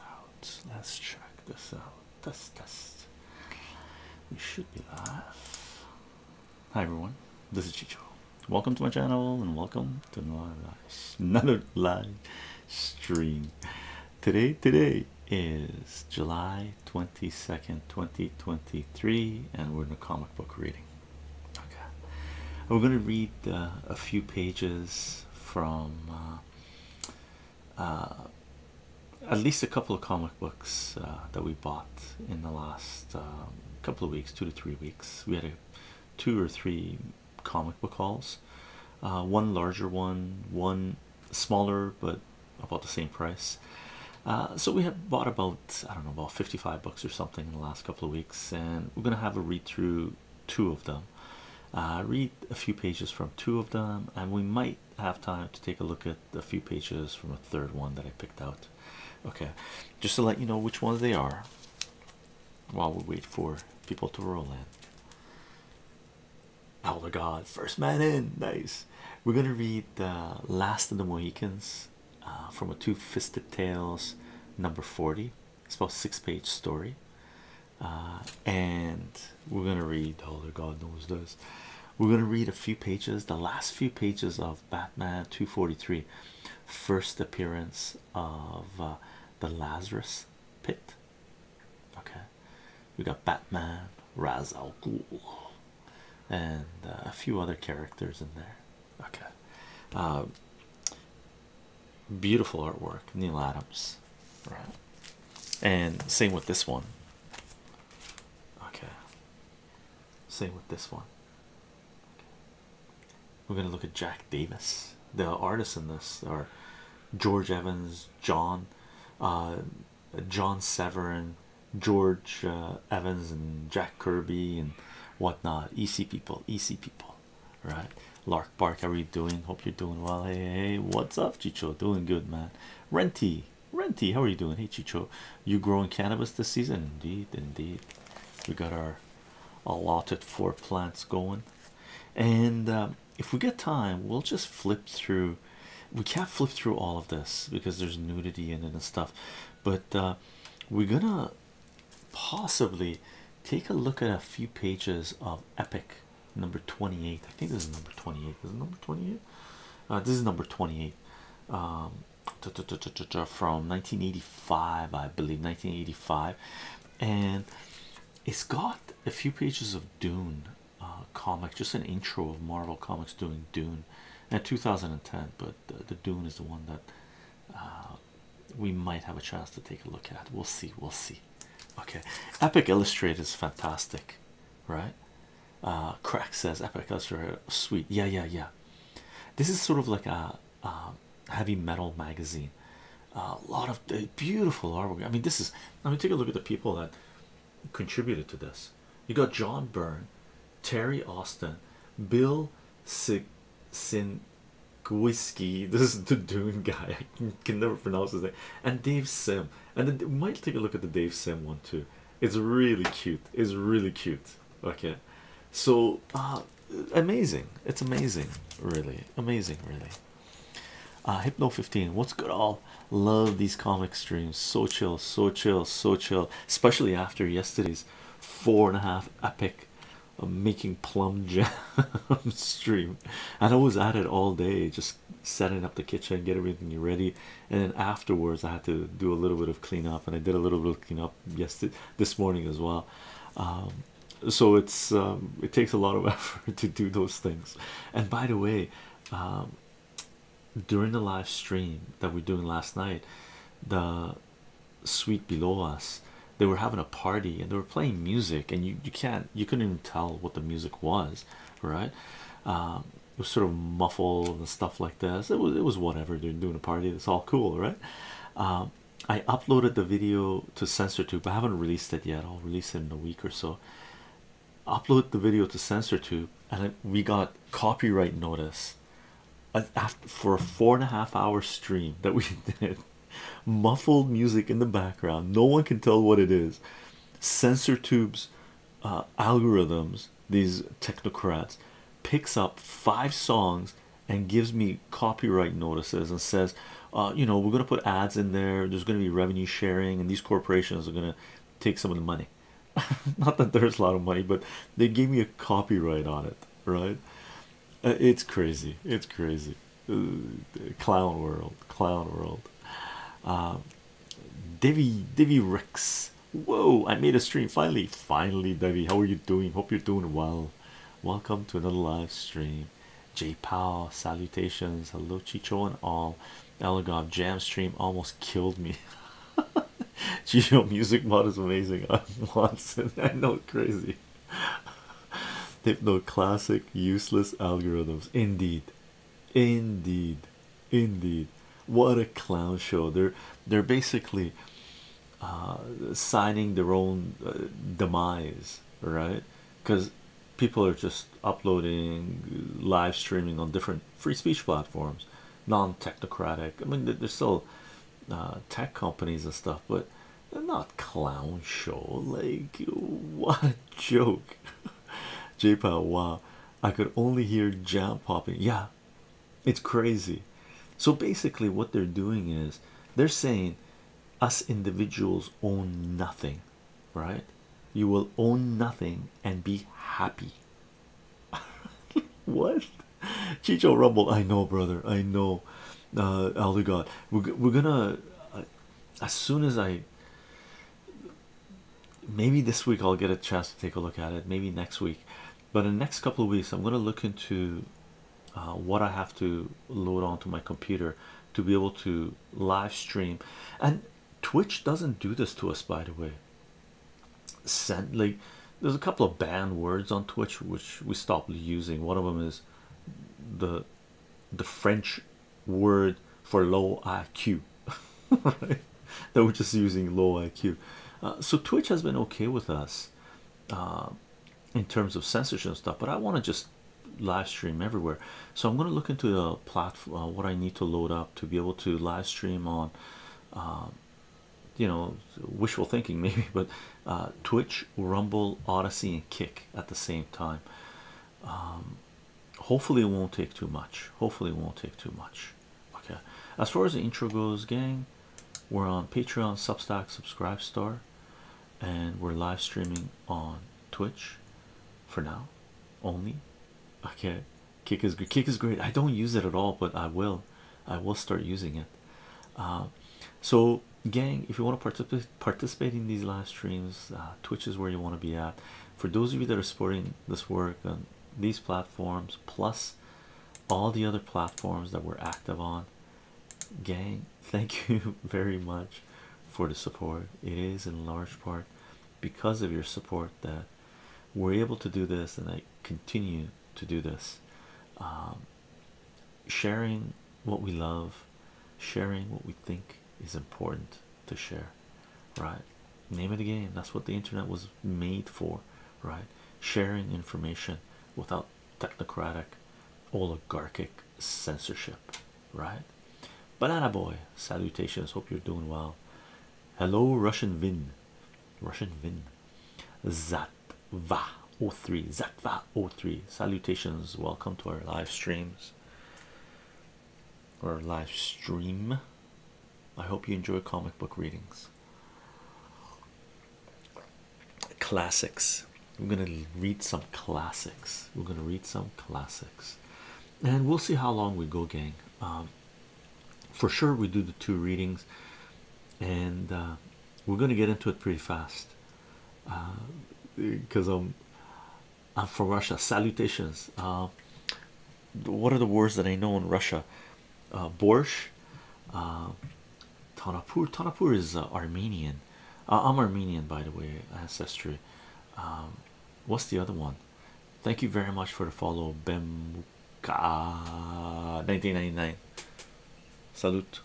Out. Let's check this out. Test test. We should be live. Hi everyone. This is Chicho. Welcome to my channel and welcome to another live stream. Today, today is July twenty second, twenty twenty three, and we're in a comic book reading. Okay, we're going to read uh, a few pages from. Uh, uh, at least a couple of comic books uh, that we bought in the last um, couple of weeks, two to three weeks. We had a two or three comic book hauls, uh, one larger one, one smaller but about the same price. so we have bought about I don't know about 55 books or something in the last couple of weeks, and we're gonna have a read through two of them uh, read a few pages from two of them and we might have time to take a look at a few pages from a third one that I picked out okay just to let you know which ones they are while we wait for people to roll in Elder God first man in nice we're gonna read the last of the Mohicans uh, from a two-fisted tales number 40 it's about six page story uh, and we're gonna read older oh, God knows this. We're gonna read a few pages, the last few pages of Batman 243, first appearance of uh, the Lazarus Pit. Okay, we got Batman, Raz al Ghul, and uh, a few other characters in there. Okay, beautiful artwork neil adams right and same with this one okay same with this one we're gonna look at jack davis the artists in this are george evans john uh, john severin george uh, evans and jack kirby and whatnot ec people ec people right Lark Bark, how are you doing? Hope you're doing well. Hey, hey, what's up, Chicho? Doing good, man. Renty, Renty, how are you doing? Hey, Chicho, you growing cannabis this season? Indeed, indeed. We got our allotted four plants going, and um, if we get time, we'll just flip through. We can't flip through all of this because there's nudity in and stuff, but uh, we're gonna possibly take a look at a few pages of epic number 28 i think this is number 28 uh, this is number 28 this is number 28 from 1985 i believe 1985 and it's got a few pages of dune uh, comic just an intro of marvel comics doing dune and 2010 but the, dune is the one that uh, we might have a chance to take a look at we'll see we'll see Okay, Epic Illustrated is fantastic, right? Uh, Crack says Epic Illustrated, sweet. Yeah, yeah, yeah. This is sort of like a, heavy metal magazine. A lot of uh, beautiful artwork. I mean, this is. Let me take a look at the people that contributed to this. You got John Byrne, Terry Austin, Bill Sig this is the Dune guy. can never pronounce his name. And Dave Sim, and the, might take a look at the Dave Sim one too. It's really cute. It's really cute. Okay, so uh, amazing. It's amazing, really amazing, really. Uh, Hypno 15, what's good? All love these comic streams. So chill, so chill, so chill. Especially after yesterday's four and a half epic uh, making plum jam stream, and I was at it all day just setting up the kitchen, get everything ready, and then afterwards I had to do a little bit of cleanup, and I did a little bit of cleanup yesterday this morning as well. Um, so it's um, it takes a lot of effort to do those things. And by the way, um, during the live stream that we we're doing last night, the suite below us they were having a party and they were playing music and you you can't you couldn't even tell what the music was right? Um, it was sort of muffled and stuff like this. It was it was whatever. They're doing a party. It's all cool, right? Um, I uploaded the video to SensorTube. But I haven't released it yet. I'll release it in a week or so. Upload the video to SensorTube, and we got copyright notice after for a four and a half hour stream that we did. Muffled music in the background. No one can tell what it is sensor tubes uh, algorithms these technocrats picks up five songs and gives me copyright notices and says uh, you know we're going to put ads in there there's going to be revenue sharing and these corporations are going to take some of the money not that there's a lot of money but they gave me a copyright on it right uh, it's crazy it's crazy clown world clown world uh, um, Divi Divi Rex whoa I made a stream finally finally Divi how are you doing hope you're doing well welcome to another live stream J Powell salutations hello Chicho and all Elgov jam stream almost killed me Chicho music mod is amazing I'm Watson I know crazy hypno classic useless algorithms indeed Indeed, indeed, what a clown show! They're they're basically uh, signing their own uh, demise, right? Because people are just uploading, live streaming on different free speech platforms, non-technocratic. I mean, they're still uh, tech companies and stuff, but they're not clown show. Like, what a joke! J-Pal, wow, I could only hear jam popping. Yeah, it's crazy. So basically, what they're doing is they're saying us individuals own nothing, right? You will own nothing and be happy. what? Chicho Rumble, I know, brother. I know. Uh, God, we're, we're gonna uh, as soon as I maybe this week I'll get a chance to take a look at it, maybe next week, but in the next couple of weeks, I'm going to look into uh, what I have to load onto my computer to be able to live stream. And Twitch doesn't do this to us, by the way. Send like there's a couple of banned words on Twitch which we stopped using. One of them is the the French word for low IQ, right? They were just using low IQ. Uh, so Twitch has been okay with us uh, in terms of censorship stuff, but I want to just live stream everywhere. So I'm going to look into the platform, uh, what I need to load up to be able to live stream on, um, you know, wishful thinking maybe, but Twitch, Rumble, Odyssey, and Kick at the same time. Um, hopefully it won't take too much hopefully it won't take too much okay as far as the intro goes gang we're on patreon substack subscribe star and we're live streaming on twitch for now only okay kick is kick is great i don't use it at all but i will i will start using it uh, so gang if you want to participate participating in these live streams. Uh, Twitch is where you want to be at. For those of you that are supporting this work on these platforms, plus all the other platforms that we're active on, gang, thank you very much for the support. It is in large part because of your support that we're able to do this, and I continue to do this. Um, sharing what we love, sharing what we think is important to share right name it again that's what the internet was made for right sharing information without technocratic oligarchic censorship right banana boy salutations hope you're doing well hello russian vin russian vin zatva 03 zatva 03 salutations welcome to our live streams or live stream. I hope you enjoy comic book readings. Classics. We're going to read some classics. We're going to read some classics. And we'll see how long we go, gang. Um, for sure, we do the two readings, and uh, we're going to get into it pretty fast because uh, I'm um, i uh, from Russia. Salutations. Uh, what are the words that I know in Russia? Uh, uh Tanapur. Tanapur is Armenian. I'm Armenian, by the way, ancestry. Um, what's the other one? Thank you very much for the follow, Bemka 1999. Salute.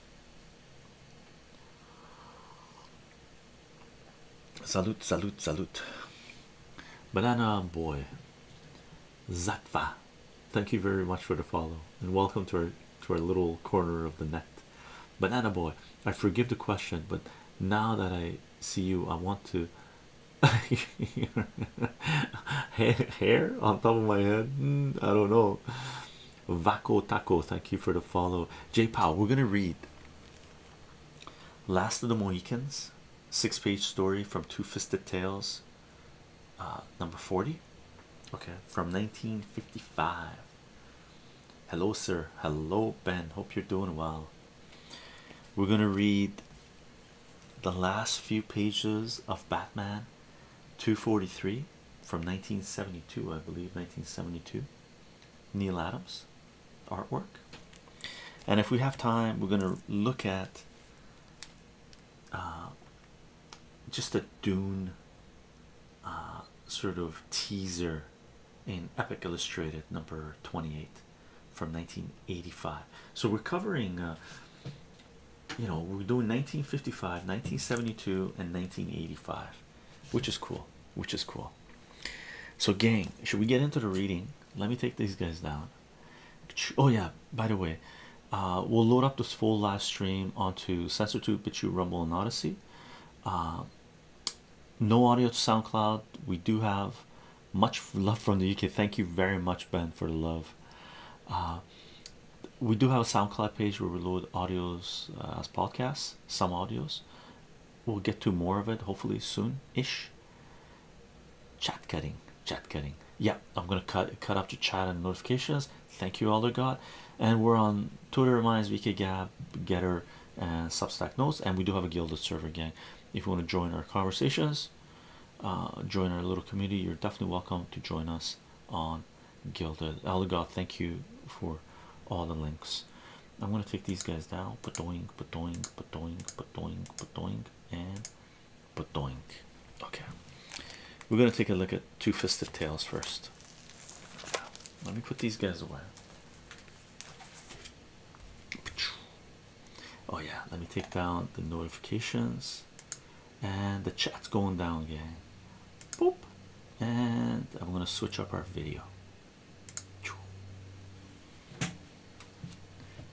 Salut, salut, salut. Banana boy Zatva. Thank you very much for the follow and welcome to our to our little corner of the net. Banana boy, I forgive the question, but now that I see you, I want to hair on top of my head. Hmm, I don't know. Vaco Taco, thank you for the follow. J Powell, we're gonna read Last of the Mohicans, six page story from Two Fisted Tales, uh, number 40. Okay, from 1955. Hello, sir. Hello, Ben. Hope you're doing well. We're gonna read the last few pages of Batman 243 from 1972, I believe. 1972, Neil Adams artwork. And if we have time, we're going to look at uh, just a Dune uh, sort of teaser in Epic Illustrated number 28 from 1985. So we're covering, uh, you know, we're doing 1955, 1972, and 1985, which is cool, which is cool. So, gang, should we get into the reading? Let me take these guys down. Oh, yeah, by the way, uh, we'll load up this full live stream onto Sensor SensorTube, BitChute, Rumble, and Odyssey. Uh, no audio to SoundCloud. We do have much love from the UK. Thank you very much, Ben, for the love. Uh, we do have a SoundCloud page where we load audios as podcasts, some audios, we'll get to more of it hopefully soon ish chat cutting chat cutting yeah i'm gonna cut cut up the chat and notifications thank you elder god and we're on twitter reminds vk gab getter and substack notes and we do have a gilded server gang if you want to join our conversations uh, join our little community you're definitely welcome to join us on gilded elder thank you for all the links I'm gonna take these guys down. Patoink, patoink, patoink, patoink, patoink, and patoink. Okay, we're gonna take a look at two fisted tails first. Let me put these guys away. Oh, yeah, let me take down the notifications and the chat's going down, gang. Boop, and I'm gonna switch up our video.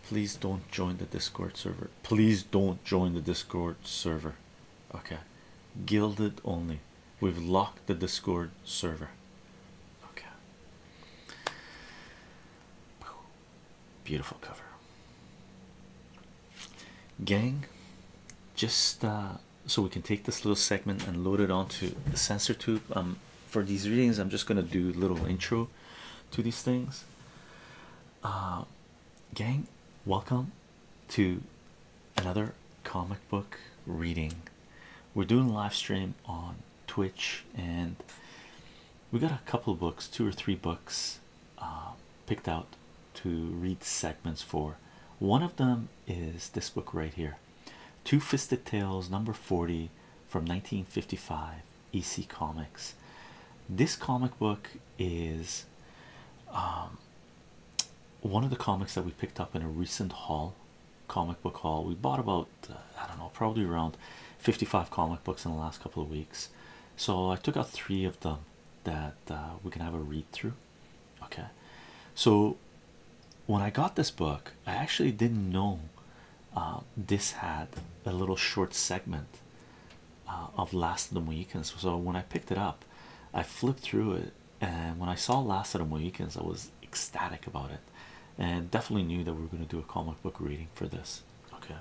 Please don't join the Discord server. Please don't join the Discord server. Okay, gilded only. We've locked the Discord server. Okay, beautiful cover, gang. Just uh, so we can take this little segment and load it onto the sensor tube. Um, for these readings, I'm just gonna do a little intro to these things. Uh, gang, welcome to another comic book reading. We're doing live stream on Twitch, and we got a couple books, two or three books, uh, picked out to read segments for. One of them is this book right here. Two Fisted Tales, number 40 from 1955, EC Comics. This comic book is um, one of the comics that we picked up in a recent haul, comic book haul. We bought about, uh, I don't know, probably around 55 comic books in the last couple of weeks. So I took out three of them that uh, we can have a read through. Okay, so when I got this book, I actually didn't know uh, this had a little short segment uh, of Last of the Mohicans. So when I picked it up, I flipped through it, and when I saw Last of the Mohicans, I was ecstatic about it, and definitely knew that we were going to do a comic book reading for this. Okay,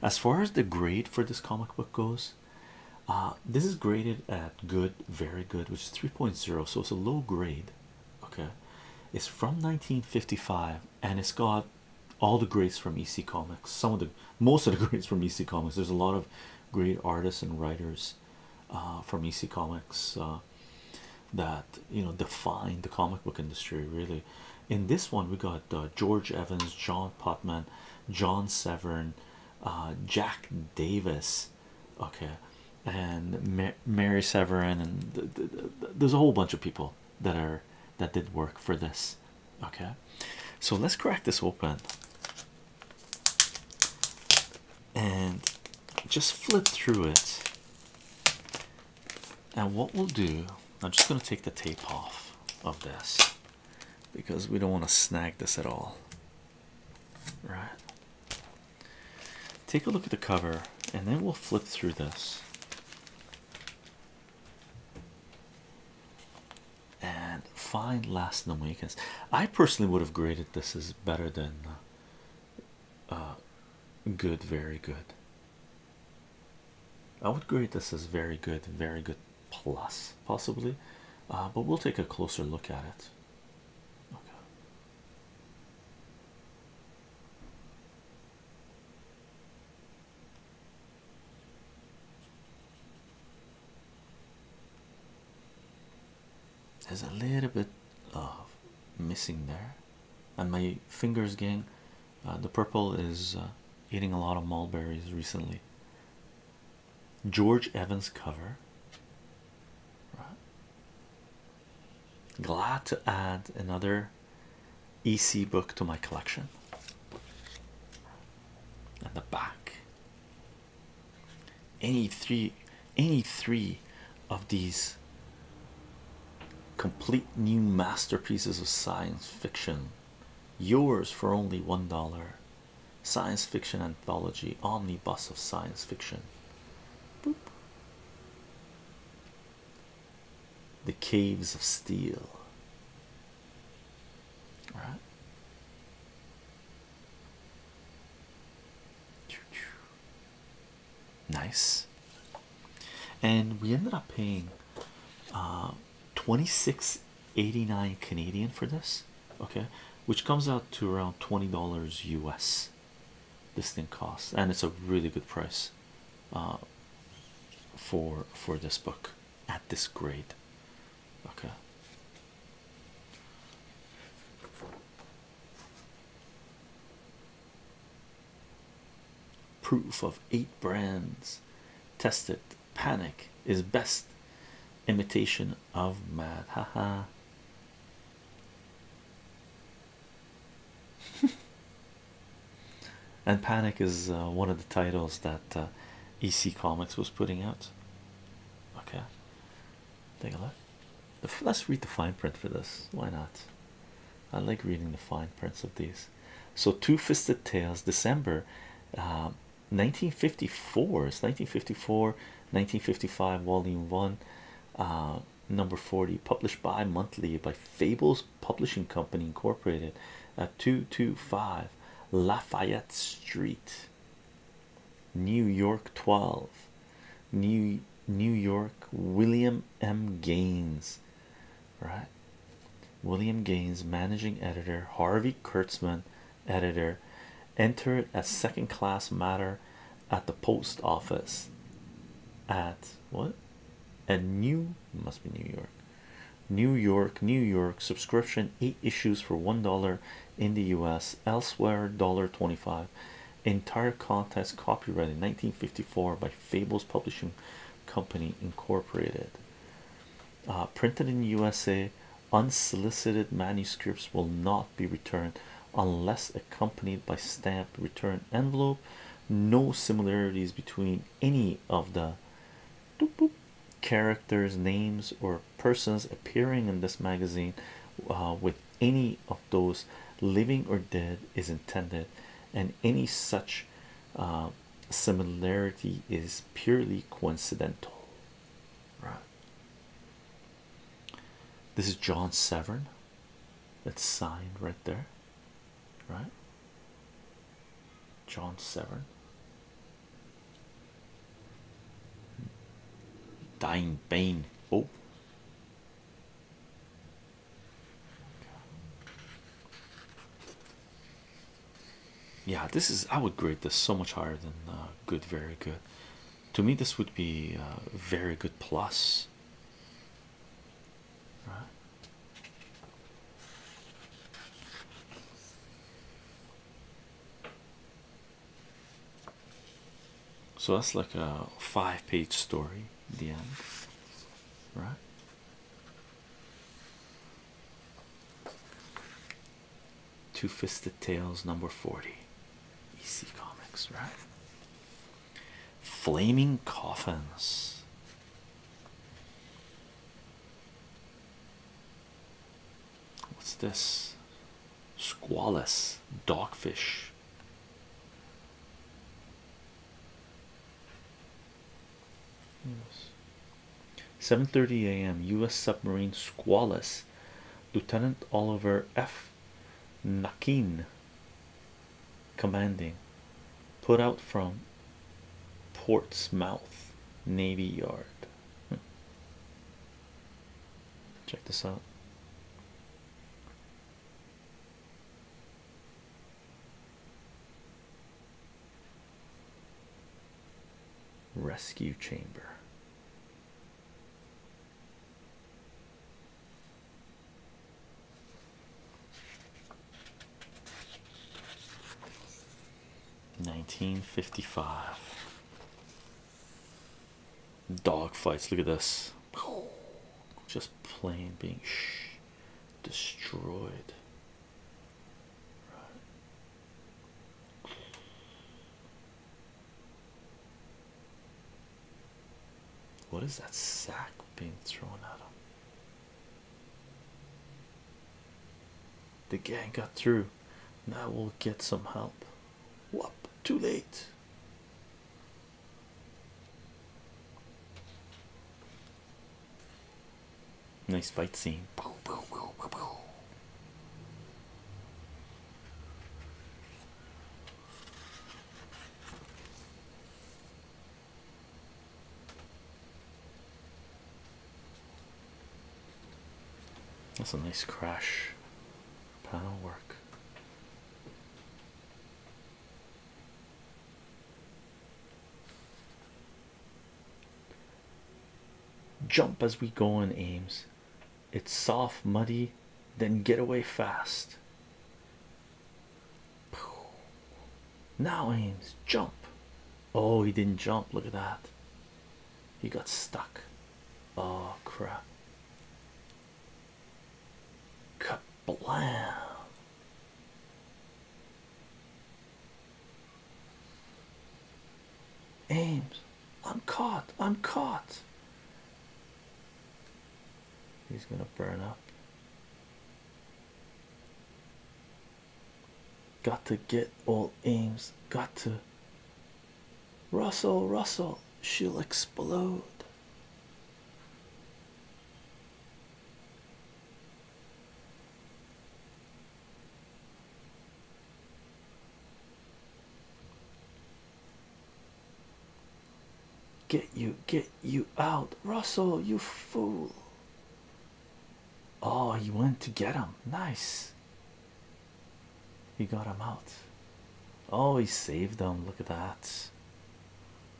as far as the grade for this comic book goes. Uh, this is graded at good, very good, which is 3.0, so it's a low grade okay it's from 1955 and it's got all the greats from ec comics some of the most of the greats from ec comics there's a lot of great artists and writers uh, from ec comics uh, that you know defined the comic book industry really in this one we got uh, george evans john potman john severn jack davis okay and Mary Severin, and there's a whole bunch of people that are that did work for this. Okay, so let's crack this open and just flip through it. And what we'll do, I'm just going to take the tape off of this because we don't want to snag this at all. Right. Take a look at the cover and then we'll flip through this. And find Last name Awakens. I personally would have graded this as better than uh, uh, good, very good. I would grade this as very good, very good plus, possibly. Uh, but we'll take a closer look at it. There's a little bit of missing there, and my fingers gang. Uh, the purple is uh, eating a lot of mulberries recently. George Evans cover, right? Glad to add another EC book to my collection. And the back. Any three, any three of these complete new masterpieces of science fiction, yours for only one dollar. Science fiction anthology, omnibus of science fiction. Boop the caves of steel. All right. Nice, and we ended up paying uh, twenty six eighty nine Canadian for this, okay, which comes out to around twenty dollars US this thing costs and it's a really good price uh, for for this book at this grade okay proof of eight brands tested panic is best imitation of mad haha and Panic is uh, one of the titles that uh, EC Comics was putting out. Okay, take a look. Let's read the fine print for this. Why not? I like reading the fine prints of these. So, Two Fisted Tales, December 1954. Uh, it's 1954, 1955, Volume 1 number 40 published bi monthly by Fables Publishing Company Incorporated at 225 Lafayette Street, New York 12, New New York William M. Gaines, right? William Gaines, managing editor, Harvey Kurtzman, editor, entered as second class matter at the post office at what and new must be New York New York New York subscription eight issues for one dollar in the US elsewhere dollar 25 entire contest copyrighted in 1954 by Fables Publishing Company Incorporated uh, printed in USA unsolicited manuscripts will not be returned unless accompanied by stamped return envelope no similarities between any of the characters names or persons appearing in this magazine uh, with any of those living or dead is intended and any such uh, similarity is purely coincidental right this is John Severn that's signed right there right? John Severn, Dying Bane. Oh, yeah, this is I would grade this so much higher than uh, good, very good. To me, this would be uh, very good plus. So that's like a five page story, at the end, right? Two Fisted Tales number 40, EC Comics, right? Flaming coffins. What's this? Squallus, dogfish. Yes. 7:30 a.m. U.S. submarine Squallus, Lieutenant Oliver F. Nakin commanding put out from portsmouth navy yard hmm. check this out rescue chamber Nineteen fifty five dog fights. Look at this just plain being destroyed. What is that sack being thrown at him? The gang got through. Now we'll get some help. Whoop, too late. Nice fight scene. That's a nice crash panel work. Jump as we go in Ames. It's soft, muddy, then get away fast. Now aims, jump. Oh, he didn't jump. Look at that. He got stuck. Oh, crap. Kablam. Ames, I'm caught. I'm caught. He's gonna burn up. Got to get old Ames. Got to Russell, Russell, she'll explode. Get you, get you out, Russell, you fool. Oh, he went to get him. Nice. He got him out. Oh, he saved them. Look at that.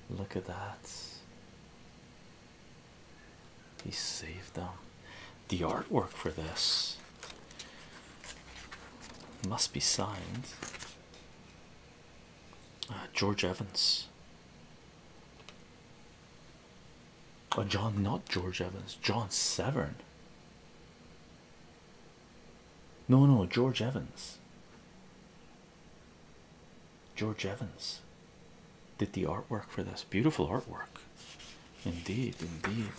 Look at that. He saved them. The artwork for this must be signed. Uh, George Evans. Oh, John, not George Evans, John Severn. No, no, George Evans. George Evans did the artwork for this. Beautiful artwork. Indeed, indeed.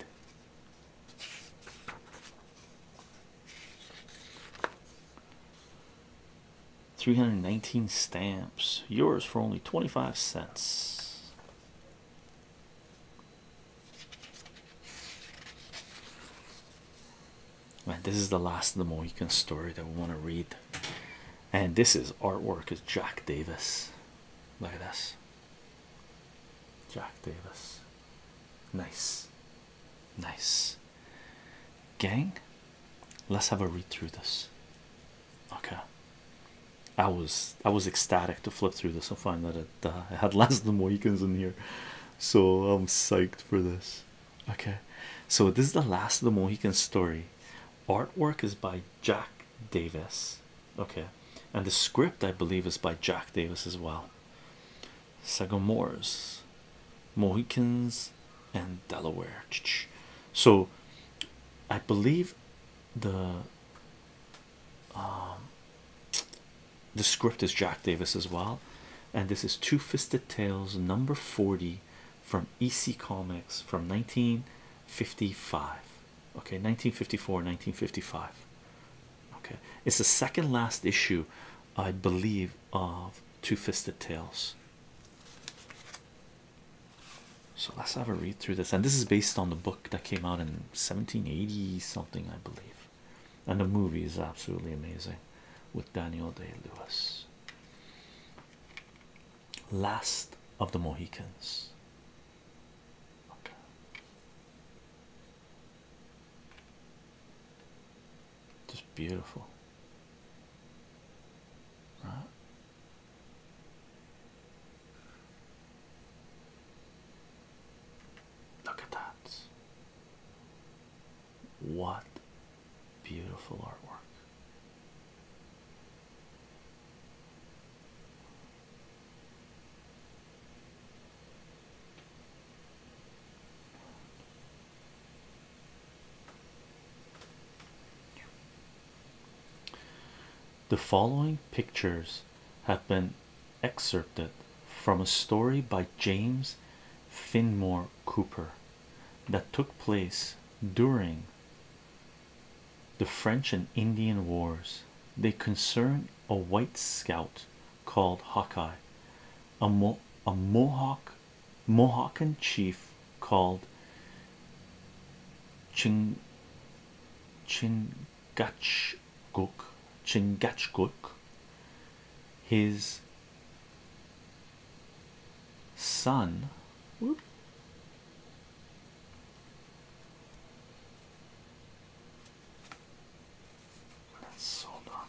319 stamps, yours for only 25 cents. Man, this is the last of the Mohican story that we want to read, and this is artwork is Jack Davis. Look at this, Jack Davis, nice. Nice. Gang, let's have a read through this. Okay. I was I was ecstatic to flip through this and find that it, uh, it had less than Mohicans in here, so I'm psyched for this. Okay, so this is the last of the Mohican story. Artwork is by Jack Davis. Okay, and the script I believe is by Jack Davis as well. Sagamores. Mohicans and Delaware. So I believe the um, the script is Jack Davis as well, and this is Two Fisted Tales number 40 from EC Comics from 1955. Okay, 1954, 1955. Okay, it's the second last issue, I believe, of Two Fisted Tales. So let's have a read through this, and this is based on the book that came out in 1780 something, I believe. And the movie is absolutely amazing with Daniel Day Lewis. Last of the Mohicans. Just beautiful, right? Look at that. What beautiful artwork. The following pictures have been excerpted from a story by James Finmore Cooper that took place during the French and Indian Wars. They concern a white scout called Hawkeye, a, a Mohawk Mohican chief called Ching Chingachgook Chingachgook his son Let's hold on.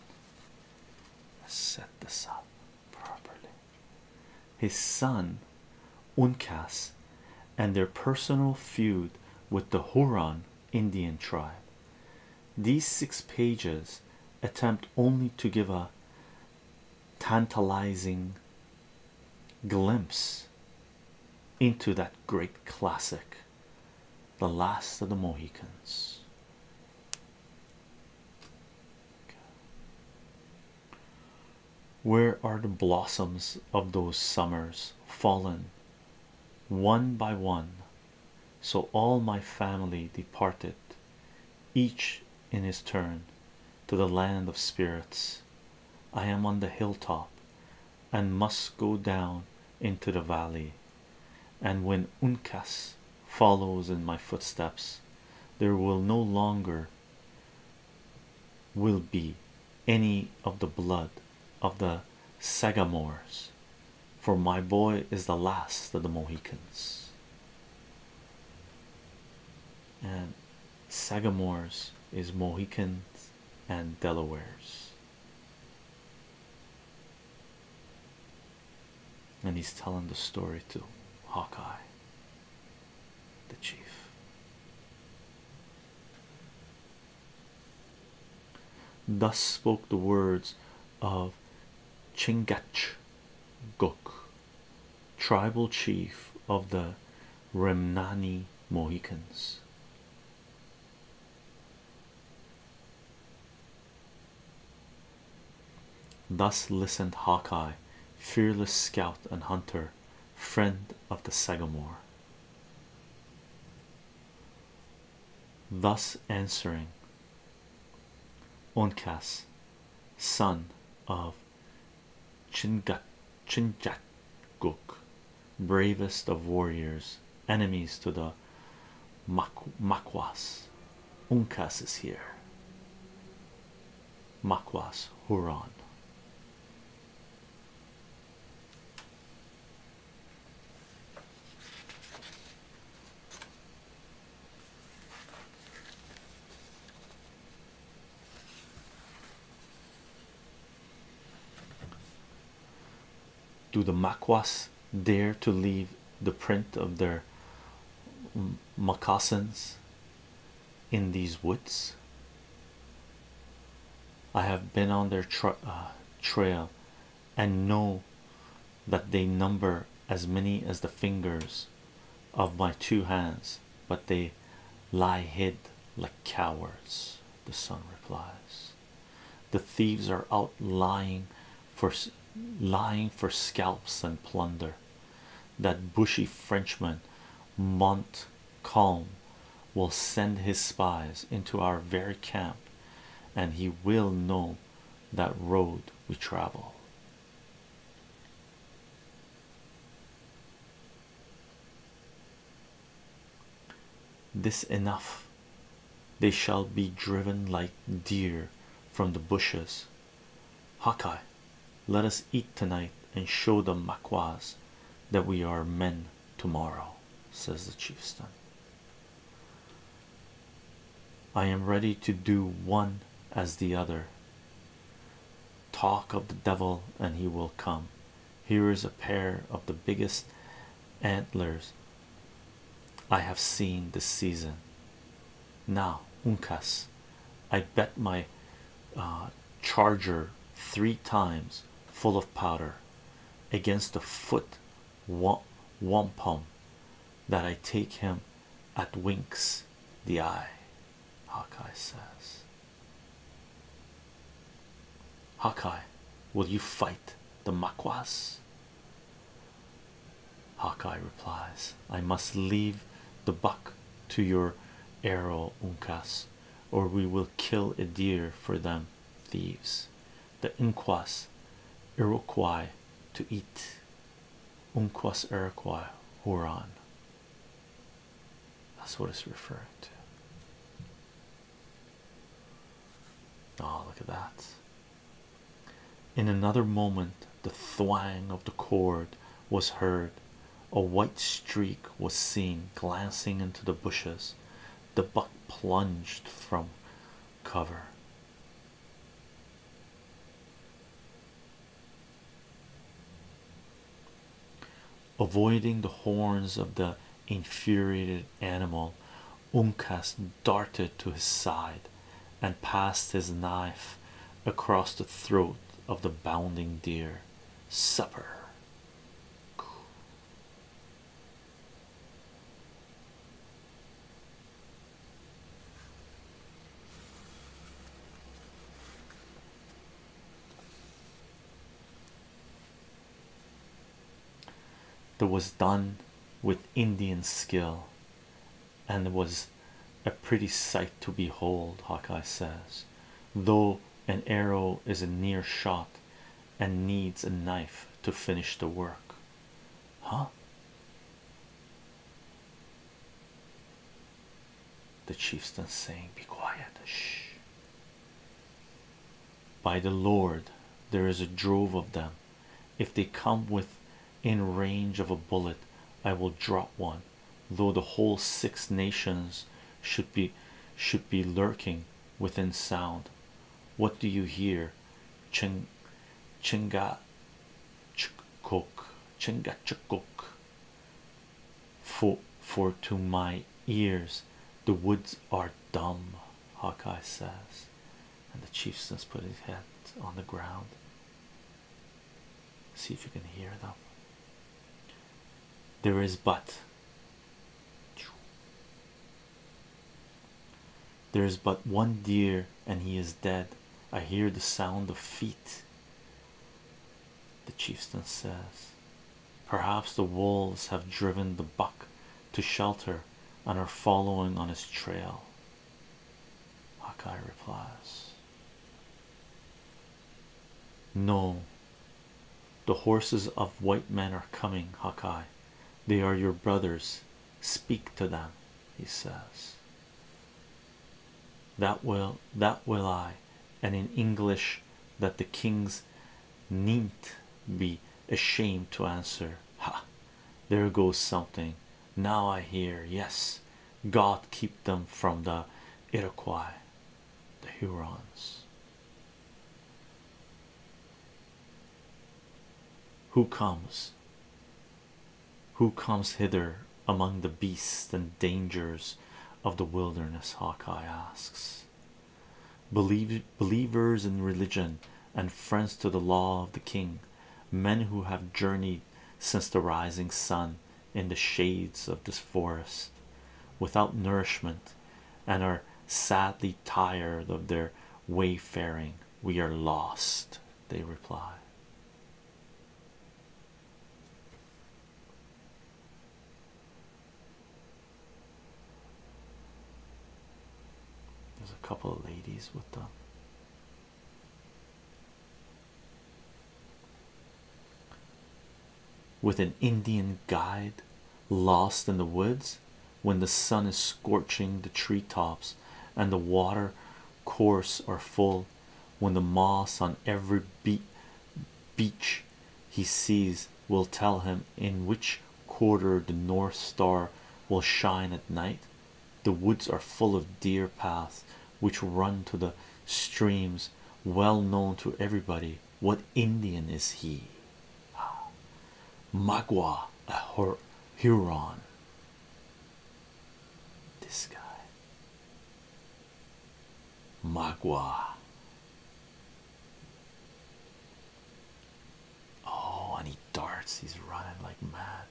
Let's set this up. His son, Uncas, and their personal feud with the Huron Indian tribe. These six pages attempt only to give a tantalizing glimpse into that great classic, The Last of the Mohicans. Where are the blossoms of those summers fallen one by one? So all my family departed, each in his turn, to the land of spirits. I am on the hilltop and must go down into the valley. And when Uncas follows in my footsteps there will no longer will be any of the blood of the sagamores for my boy is the last of the mohicans and sagamores is mohicans and delawares and he's telling the story to Hawkeye, the chief. Thus spoke the words of Chingachgook, tribal chief of the Remnani Mohicans. Thus listened Hawkeye, fearless scout and hunter, friend of the Sagamore. Thus answering Uncas, son of Chingachgook, bravest of warriors, enemies to the Maquas, Uncas is here. Makwas Huron. Do the Makwas dare to leave the print of their moccasins in these woods. I have been on their uh, trail and know that they number as many as the fingers of my two hands, but they lie hid like cowards. The sun replies, The thieves are out lying for lying for scalps and plunder that bushy Frenchman Montcalm will send his spies into our very camp, and he will know that road we travel. This enough, they shall be driven like deer from the bushes Hawkeye, let us eat tonight and show the Maquas that we are men tomorrow, says the chieftain. I am ready to do one as the other. Talk of the devil, and he will come. Here is a pair of the biggest antlers I have seen this season. Now, Uncas, I bet my uh, charger three times full of powder against the foot wampum that I take him at winks the eye. Hawkeye says, Hawkeye, will you fight the Maquas? Hawkeye replies, I must leave the buck to your arrow, Uncas, or we will kill a deer for them thieves. The Uncas, Iroquois to eat. Uncas Iroquois Huron. That's what it's referring to. Oh, look at that. In another moment, the thwang of the cord was heard. A white streak was seen glancing into the bushes. The buck plunged from cover. Avoiding the horns of the infuriated animal, Uncas darted to his side, and passed his knife across the throat of the bounding deer. Supper. That was done with Indian skill and was a pretty sight to behold, Hawkeye says, though an arrow is a near shot and needs a knife to finish the work. Huh? The chieftain saying, Be quiet, shh. By the Lord, there is a drove of them. If they come with in range of a bullet i will drop one though the whole six nations should be should be lurking within sound what do you hear ching chinga chukok chinga chukok for for to my ears the woods are dumb hawkeye says and the chieftain put his head on the ground See if you can hear them. There is but. There is but one deer, and he is dead. I hear the sound of feet. The chieftain says, Perhaps the wolves have driven the buck to shelter and are following on his trail. Hawkeye replies, No, the horses of white men are coming, Hawkeye. They are your brothers. Speak to them, he says. That will, that will I, and in English, that the kings needn't be ashamed to answer. Ha! There goes something now I hear, yes, God keep them from the Iroquois, the Hurons. Who comes? Who comes hither among the beasts and dangers of the wilderness? Hawkeye asks. believers in religion and friends to the law of the king, men who have journeyed since the rising sun in the shades of this forest without nourishment and are sadly tired of their wayfaring. We are lost, they reply. There's a couple of ladies with them with an Indian guide lost in the woods when the sun is scorching the tree tops and the water course are full when the moss on every be beach he sees will tell him in which quarter the north star will shine at night the woods are full of deer paths which run to the streams well known to everybody what indian is he ah, magua a huron this guy magua oh and he darts he's running like mad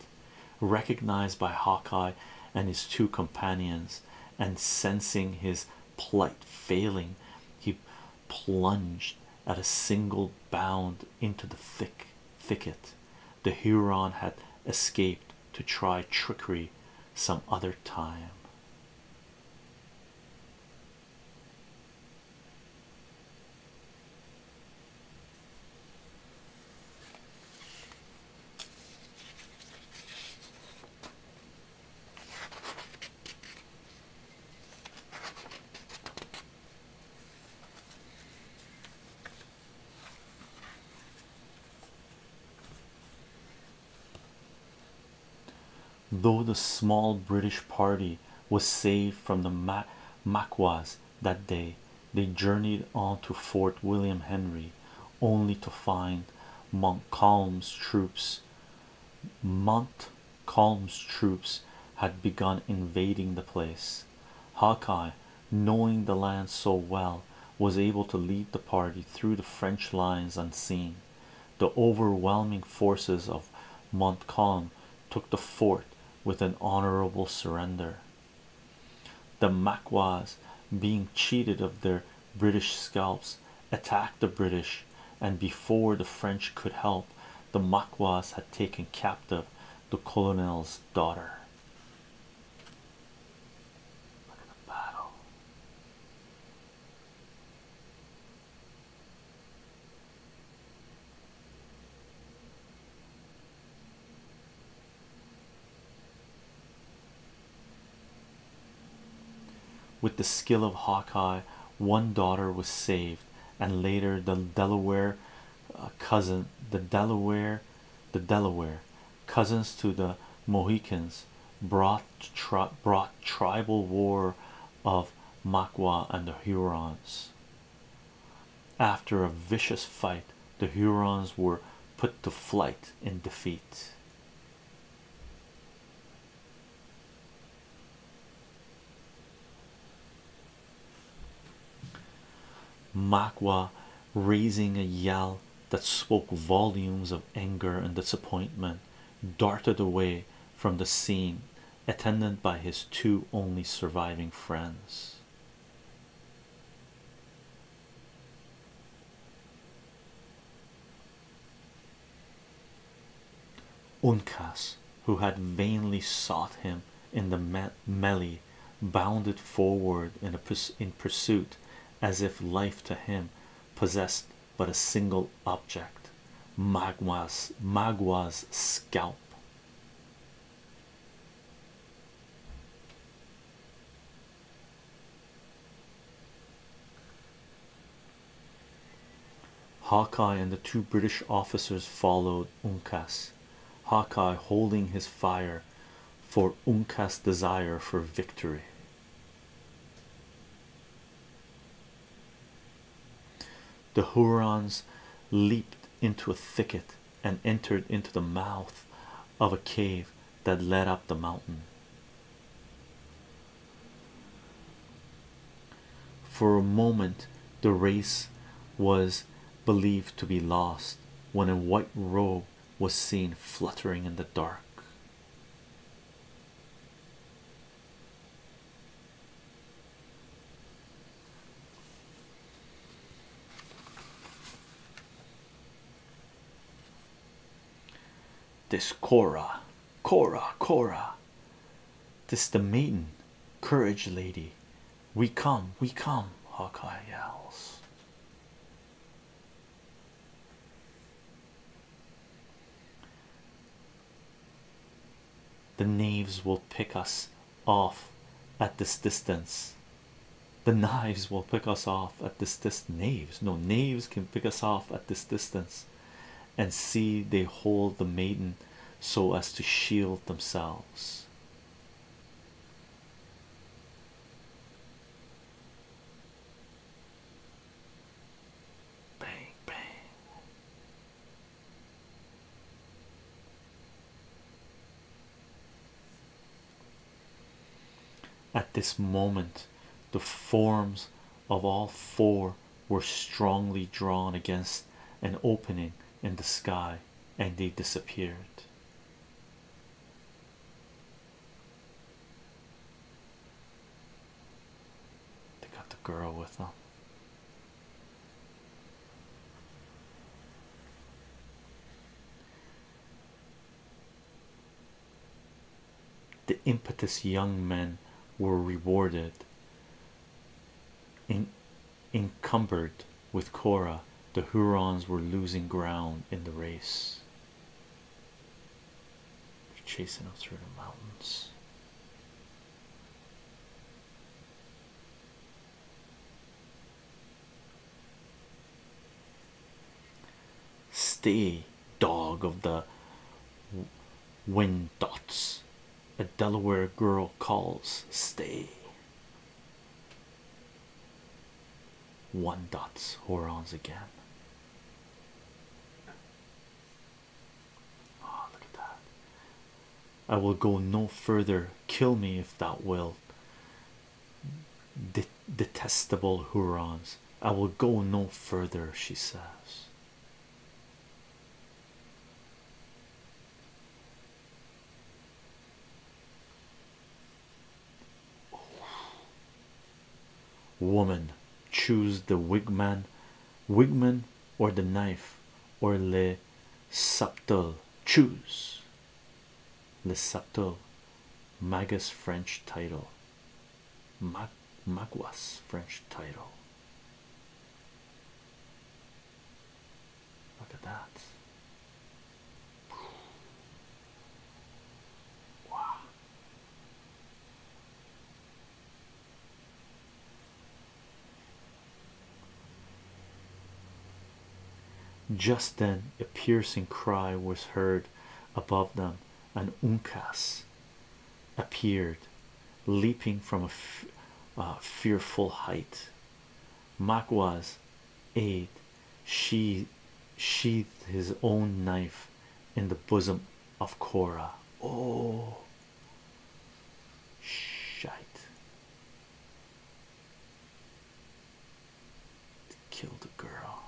recognized by Hawkeye and his two companions, and sensing his plight failing, he plunged at a single bound into the thick thicket. The Huron had escaped to try trickery some other time. Though the small British party was saved from the Maquas that day, they journeyed on to Fort William Henry only to find Montcalm's troops. Montcalm's troops had begun invading the place. Hawkeye, knowing the land so well, was able to lead the party through the French lines unseen. The overwhelming forces of Montcalm took the fort with an honorable surrender. The Makwas, being cheated of their British scalps, attacked the British, and before the French could help, the Makwas had taken captive the colonel's daughter. With the skill of Hawkeye, one daughter was saved, and later the Delaware uh, the Delaware, the Delaware cousins to the Mohicans brought tribal war of Makwa and the Hurons. After a vicious fight, the Hurons were put to flight in defeat. Magua, raising a yell that spoke volumes of anger and disappointment darted away from the scene attended by his two only surviving friends Uncas, who had vainly sought him in the melee, bounded forward in, pursuit as if life to him possessed but a single object maguas scalp. Hawkeye and the two British officers followed Uncas, Hawkeye holding his fire for Uncas' desire for victory. The Hurons leaped into a thicket and entered into the mouth of a cave that led up the mountain. For a moment, the race was believed to be lost when a white robe was seen fluttering in the dark. This Cora, Cora, Cora. This the maiden, courage lady. We come, we come, Hawkeye yells. The knaves will pick us off at this distance the knives will pick us off at this distance knaves no knaves can pick us off at this distance and see they hold the maiden so as to shield themselves bang bang at this moment, the forms of all four were strongly drawn against an opening in the sky, and they disappeared. They got the girl with them. The impetuous young men were rewarded, in encumbered with Cora. The Hurons were losing ground in the race. They're chasing us through the mountains stay dog of the wind dots a delaware girl calls stay one dots horons again oh look at that I will go no further kill me if thou wilt. Dit detestable Hurons. I will go no further, she says. Woman, choose the wigman, wigman, or the knife, or le subtle. Choose. Le Lesotho Magus French title Mag Maguas French title Look at that. Wow. Just then, a piercing cry was heard above them, an Uncas appeared, leaping from a fearful height. Makwa's aid, she sheathed his own knife in the bosom of Cora. Oh, shite! To kill the girl.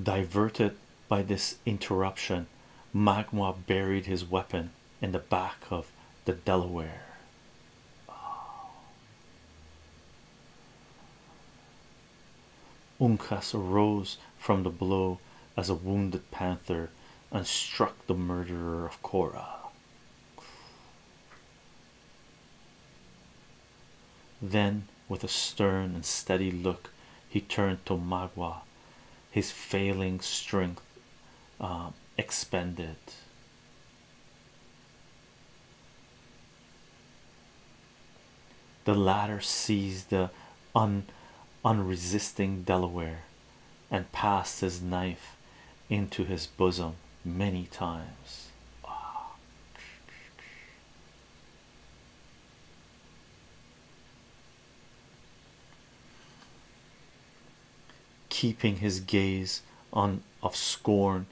Diverted by this interruption, Magma buried his weapon in the back of the Delaware. Uncas arose from the blow as a wounded panther and struck the murderer of Cora. Then, with a stern and steady look, he turned to Magua, his failing strength um, expended. The latter seized the unresisting Delaware and passed his knife into his bosom many times keeping his gaze on of scorn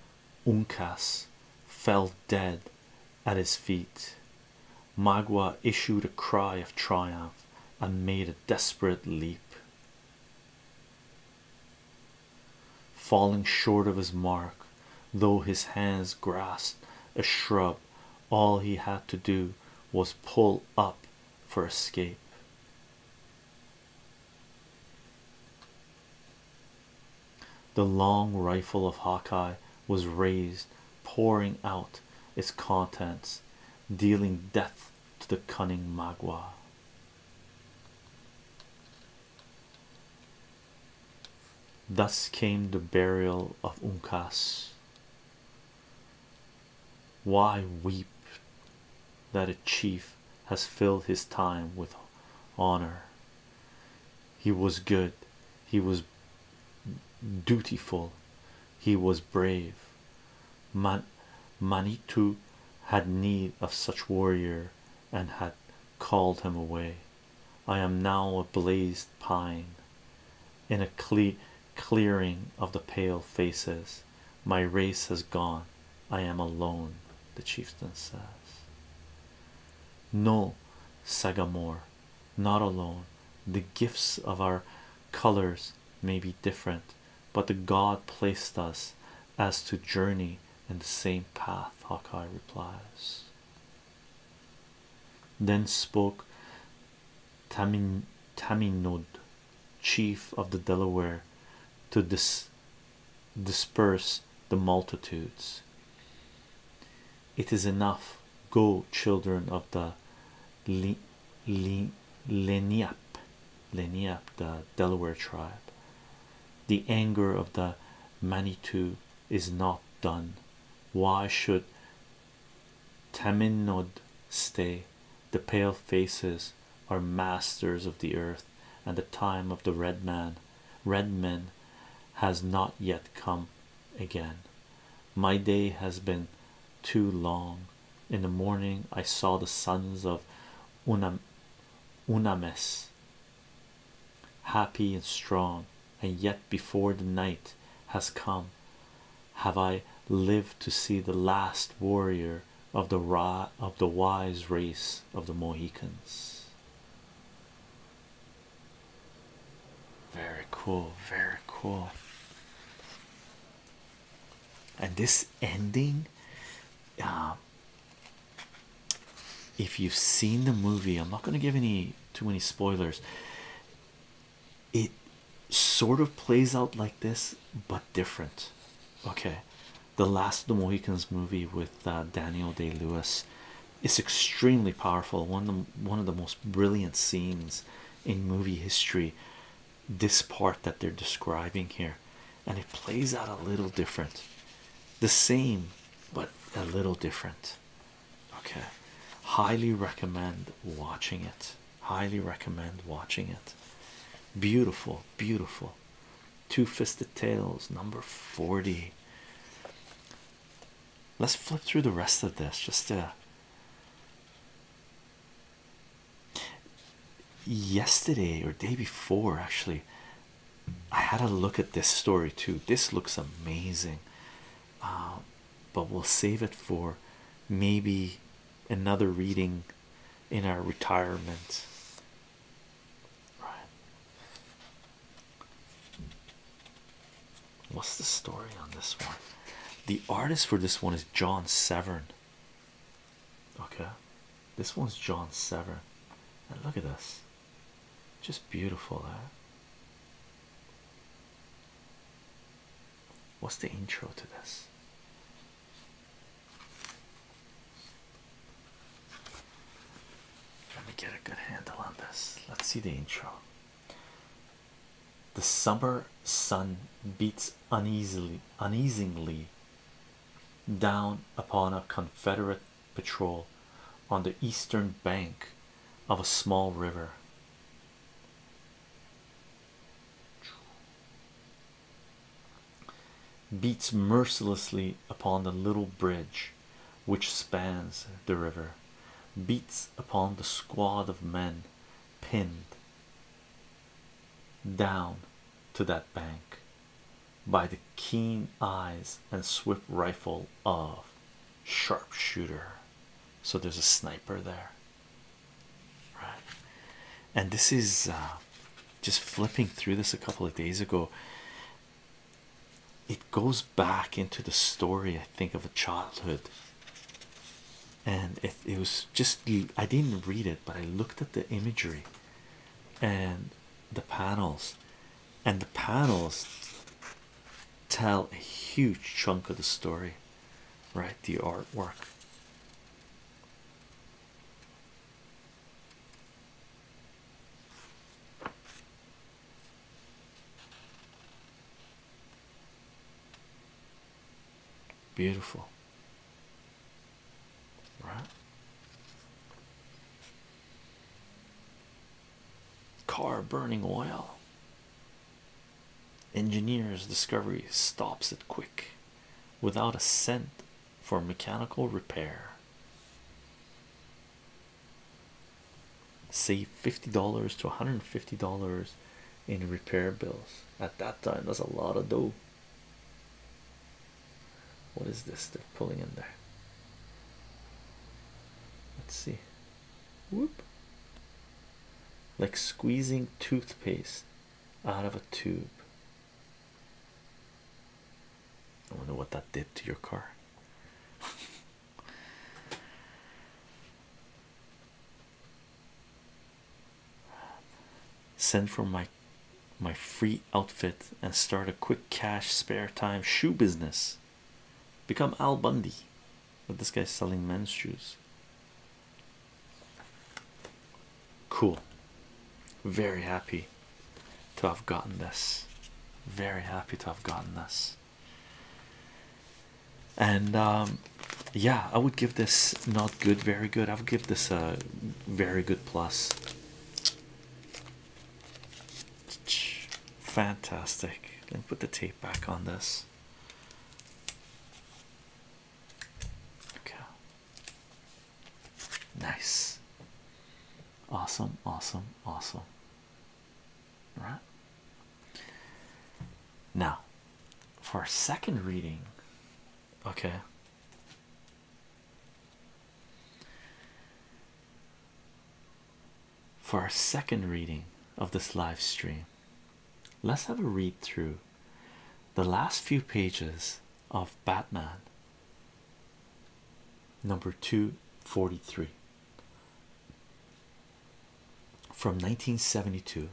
uncas fell dead at his feet magua issued a cry of triumph and made a desperate leap falling short of his mark though his hands grasped a shrub all he had to do was pull up for escape the long rifle of Hawkeye was raised, pouring out its contents, dealing death to the cunning Magua. Thus came the burial of Uncas. Why weep that a chief has filled his time with honor. He was good, he was dutiful, he was brave. Manitou had need of such warrior and had called him away. I am now a blazed pine in a cle clearing of the pale faces. My race has gone. I am alone, the chieftain says. No, Sagamore, not alone. The gifts of our colors may be different, but the God placed us as to journey in the same path, Hawkeye replies. Then spoke Tamin Taminod chief of the Delaware to disperse the multitudes. It is enough. Go, children of the Le Le the Delaware tribe. The anger of the Manitou is not done. Why should Tamminod stay? The pale faces are masters of the earth, and the time of the red man, red men, has not yet come again. My day has been too long. In the morning, I saw the sons of Unam Unames happy and strong, and yet before the night has come, have I lived to see the last warrior of the raw of the wise race of the Mohicans. Very cool, very cool. And this ending, uh, if you've seen the movie, I'm not going to give any too many spoilers. It sort of plays out like this, but different. Okay, the last of the mohicans movie with uh, daniel day lewis is extremely powerful one of the, one of the most brilliant scenes in movie history this part that they're describing here and it plays out a little different the same but a little different okay highly recommend watching it highly recommend watching it beautiful beautiful Two Fisted Tales, number 40. Let's flip through the rest of this just Yesterday or day before, actually, I had a look at this story too. This looks amazing, uh, but we'll save it for maybe another reading in our retirement Right. What's the story on this one? The artist for this one is John Severn. Okay, this one's John Severn, and look at this just beautiful. Eh? What's the intro to this? Trying to get a good handle on this. Let's see the intro. The summer sun beats uneasily, uneasingly down upon a Confederate patrol on the eastern bank of a small river beats mercilessly upon the little bridge which spans the river, beats upon the squad of men pinned down to that bank by the keen eyes and swift rifle of sharpshooter. So there's a sniper there, right? And this is uh, just flipping through this a couple of days ago. It goes back into the story, I think, of a childhood. And it, it was just, I didn't read it, but I looked at the imagery and the panels. And the panels tell a huge chunk of the story, right? The artwork. Beautiful, right? Car burning oil. Engineer's discovery stops it quick without a cent for mechanical repair. Save fifty dollars to one hundred and fifty dollars in repair bills at that time. That's a lot of dough. What is this they're pulling in there? Let's see. Whoop. Like squeezing toothpaste out of a tube. I wonder what that did to your car. Send for my my free outfit and start a quick cash spare time shoe business. Become Al Bundy. But this guy's selling men's shoes. Cool. Very happy to have gotten this. Very happy to have gotten this. And um, yeah, I would give this not good, very good. I would give this a very good plus. Fantastic. Let me put the tape back on this. Okay. Nice, awesome, awesome, awesome. All right now, for our second reading, okay. For our second reading of this live stream, let's have a read through the last few pages of Batman number 243 from 1972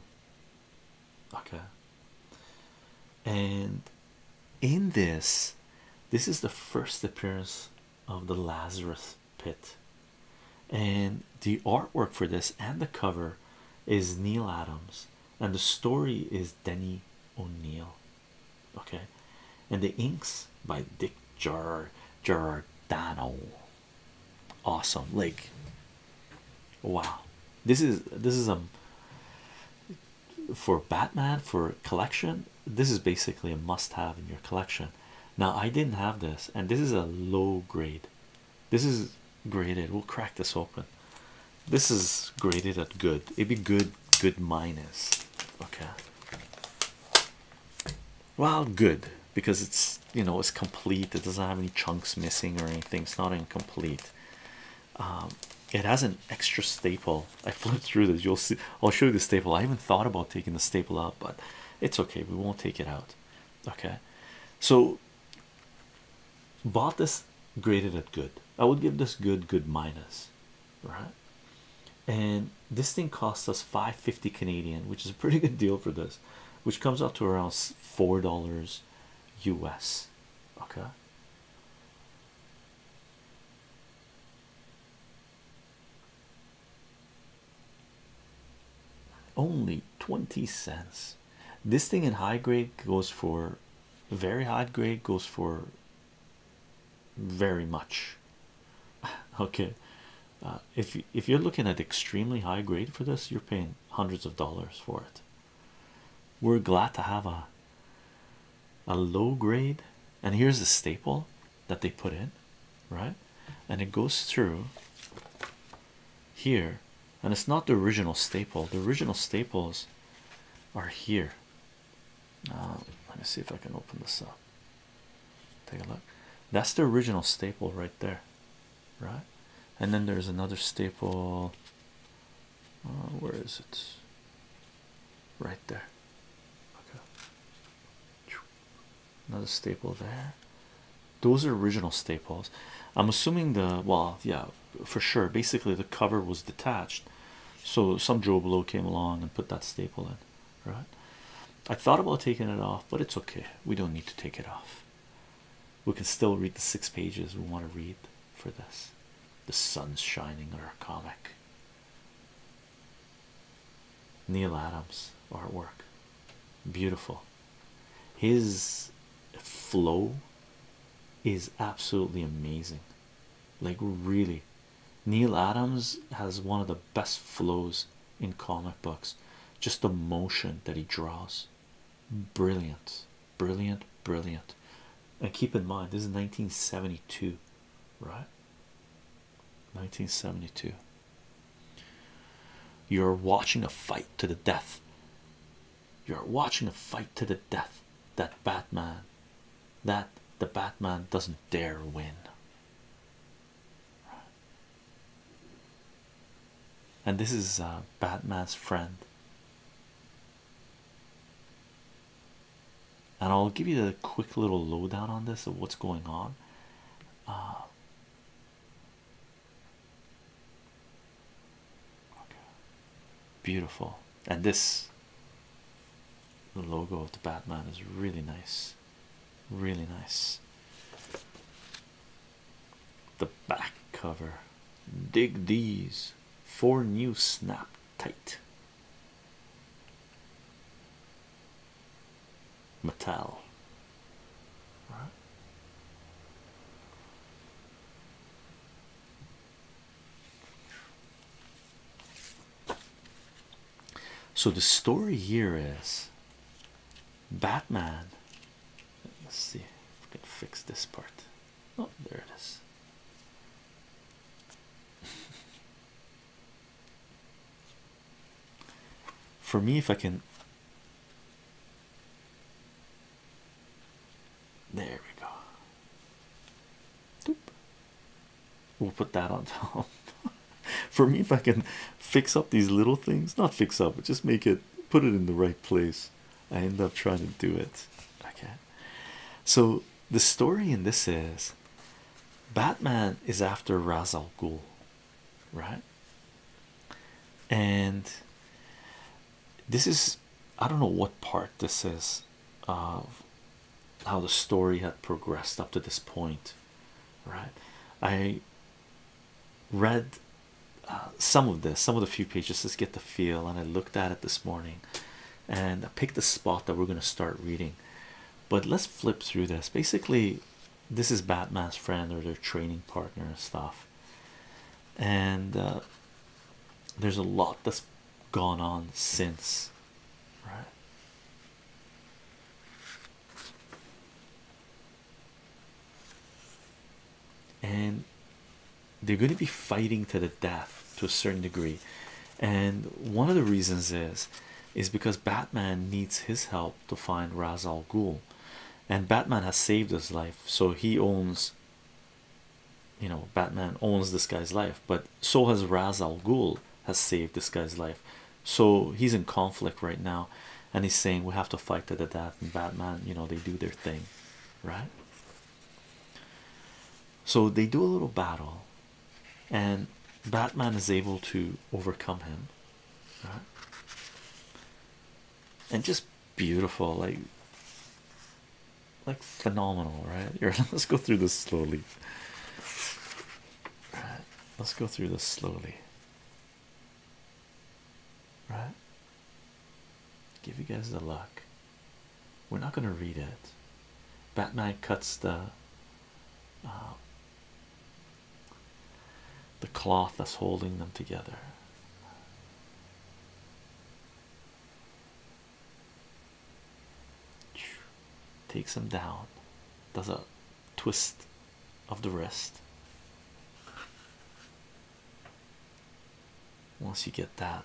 okay and in this this is the first appearance of the lazarus pit and the artwork for this and the cover is neil adams and the story is denny O'Neil okay, and the inks by Dick Jar Giordano. Awesome, like wow, this is this is a um, for Batman for collection. This is basically a must-have in your collection. Now I didn't have this, and this is a low grade. This is graded. We'll crack this open. This is graded at good. It'd be good, good minus. Okay. Well, good because it's you know it's complete. It doesn't have any chunks missing or anything. It's not incomplete. Um, it has an extra staple. I flipped through this. You'll see. I'll show you the staple. I haven't thought about taking the staple out, but it's okay. We won't take it out. Okay. So bought this graded at good. I would give this good good minus right? And this thing costs us 550 Canadian, which is a pretty good deal for this, which comes out to around four dollars US. Okay. Only 20 cents. This thing in high grade goes for very high grade goes for very much okay uh, if you, if you're looking at extremely high grade for this you're paying hundreds of dollars for it we're glad to have a a low grade and here's a staple that they put in right and it goes through here and it's not the original staple the original staples are here uh, let me see if I can open this up. Take a look. That's the original staple right there, right? And then there's another staple. Uh, where is it? Right there. Okay. Another staple there. Those are original staples. I'm assuming the well, yeah, for sure. Basically, the cover was detached so some Joe Blow came along and put that staple in, right? I thought about taking it off, but it's okay. We don't need to take it off. We can still read the six pages we want to read for this. The sun's shining on our comic. Neil Adams artwork. Beautiful. His flow is absolutely amazing. Like really Neil Adams has one of the best flows in comic books, just the motion that he draws. Brilliant, brilliant, brilliant. And keep in mind, this is 1972, right? 1972. You're watching a fight to the death. You're watching a fight to the death that Batman that the Batman doesn't dare win. And this is uh, Batman's friend. And I'll give you the quick little lowdown on this of what's going on. Uh, Beautiful, and this the logo of the Batman is really nice, really nice. The back cover, dig these four new snap tight metal. Right. So the story here is Batman. Let's see if we can fix this part. Oh, there it is. For me, if I can, there we go. We'll put that on top. For me, if I can fix up these little things, not fix up, but just make it put it in the right place, I end up trying to do it. Okay, so the story in this is Batman is after Ra's al Ghul, right? And this is I don't know what part this is of how the story had progressed up to this point, right? I read uh, some of this, some of the few pages, just get the feel, and I looked at it this morning and I picked the spot that we're going to start reading. But let's flip through this. Basically, this is Batman's friend or their training partner and stuff, and uh, there's a lot that's gone on since right? And they're going to be fighting to the death to a certain degree. And one of the reasons is is because Batman needs his help to find Ra's al Ghul, and Batman has saved his life, so he owns you know Batman owns this guy's life, but so has Ra's al Ghul has saved this guy's life. So he's in conflict right now, and he's saying we have to fight to the death. And Batman, you know, they do their thing, right? So they do a little battle, and Batman is able to overcome him, And just beautiful, like like phenomenal, right? let's go through this slowly. Right, let's go through this slowly. Right, give you guys the luck. We're not gonna read it. Batman cuts the uh, the cloth that's holding them together. Takes him down, does a twist of the wrist. Once you get that,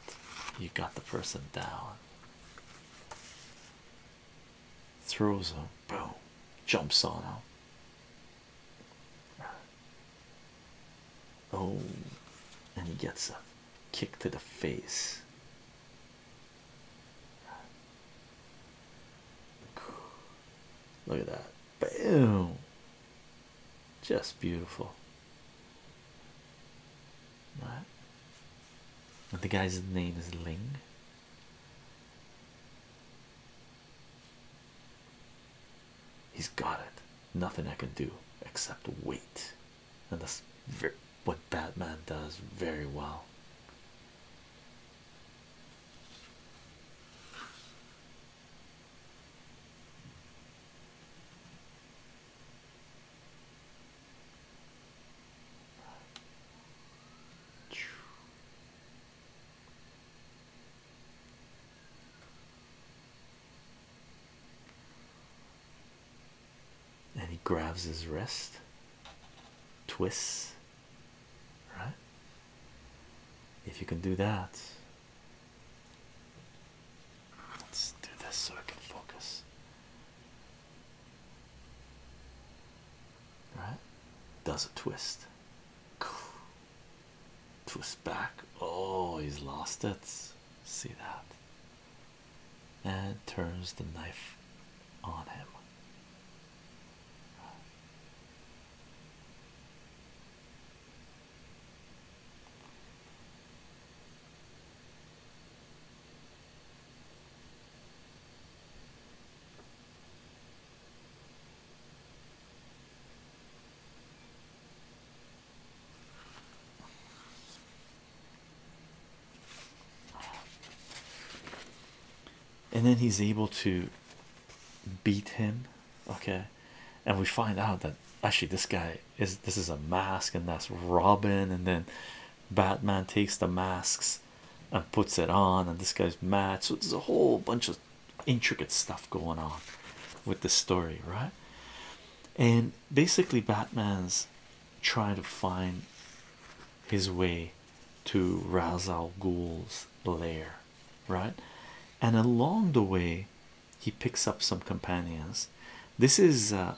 you got the person down. Throws him, boom, jumps on him. Oh, and he gets a kick to the face. Look at that. Boom. Just beautiful. Right. the guy's name is Ling. He's got it. Nothing I can do except wait and that's what Batman does very well and he grabs his wrist, twists, right? If you can do that, let's do this so I can focus. Right? Does a twist. Twist back. Oh, he's lost it. See that? and turns the knife on him and then he's able to beat him okay and we find out that actually this guy is this is a mask and that's Robin and then Batman takes the masks and puts it on and this guy's mad so there's a whole bunch of intricate stuff going on with the story right and basically Batman's trying to find his way to Ra's Ghul's lair, right? And along the way, he picks up some companions. This is uh,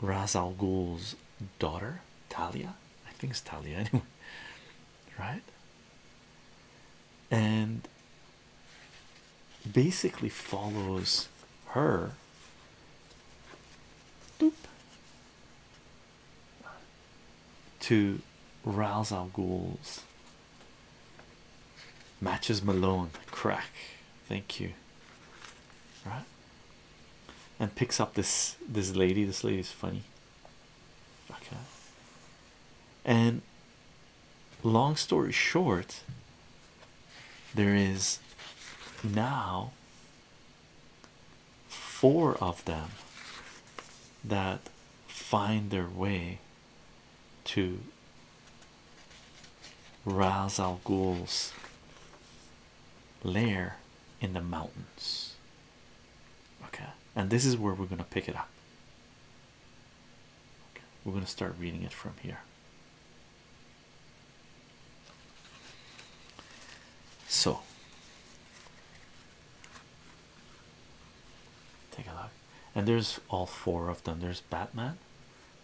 Ghul's daughter, Talia. I think it's Talia, anyway, right? And basically follows her Doop. To rouse our ghouls. Matches Malone. Crack. Thank you. Right? And picks up this this lady. This lady is funny. Okay. And long story short, there is now four of them that find their way to Ras Al Ghul's lair in the mountains. Okay, and this is where we're going to pick it up. We're going to start reading it from here. So take a look, and there's all four of them. There's Batman,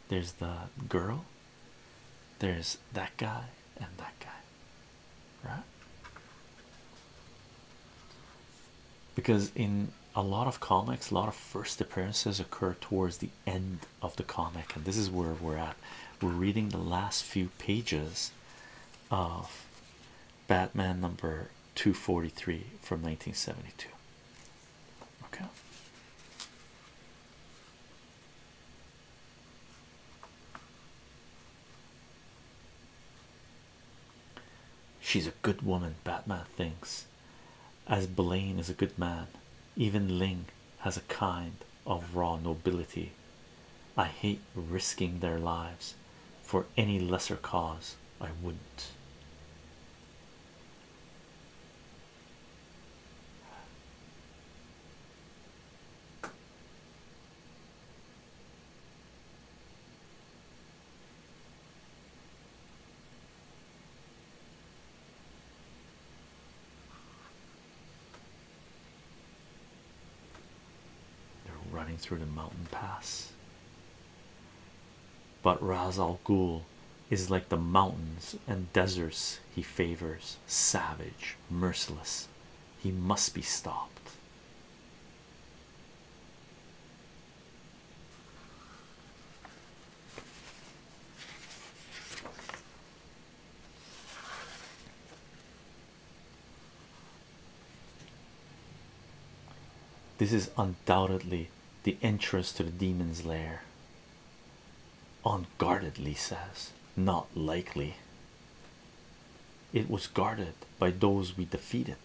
there's the girl, there's that guy, and that guy, right? Because in a lot of comics, a lot of first appearances occur towards the end of the comic, and this is where we're at. We're reading the last few pages of Batman number 243 from 1972. Okay. She's a good woman, Batman thinks, as Blaine is a good man. Even Ling, has a kind of raw nobility. I hate risking their lives for any lesser cause. I wouldn't. They're running through the mountain pass. But Raz Al Ghul is like the mountains and deserts he favors, savage, merciless. He must be stopped. This is undoubtedly the entrance to the demon's lair. Unguardedly says, not likely. It was guarded by those we defeated.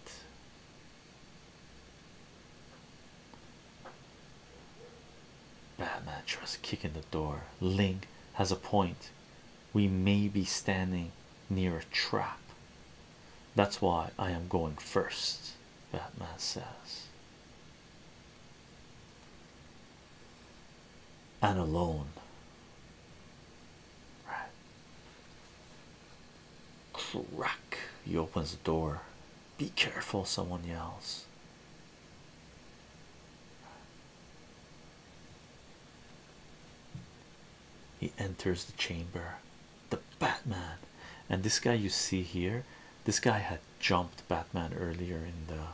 Batman tries to kick in the door. Link has a point. We may be standing near a trap. That's why I am going first, Batman says. And alone. Right. Crack. He opens the door. Be careful, someone yells. He enters the chamber, the Batman, and this guy you see here. This guy had jumped Batman earlier in the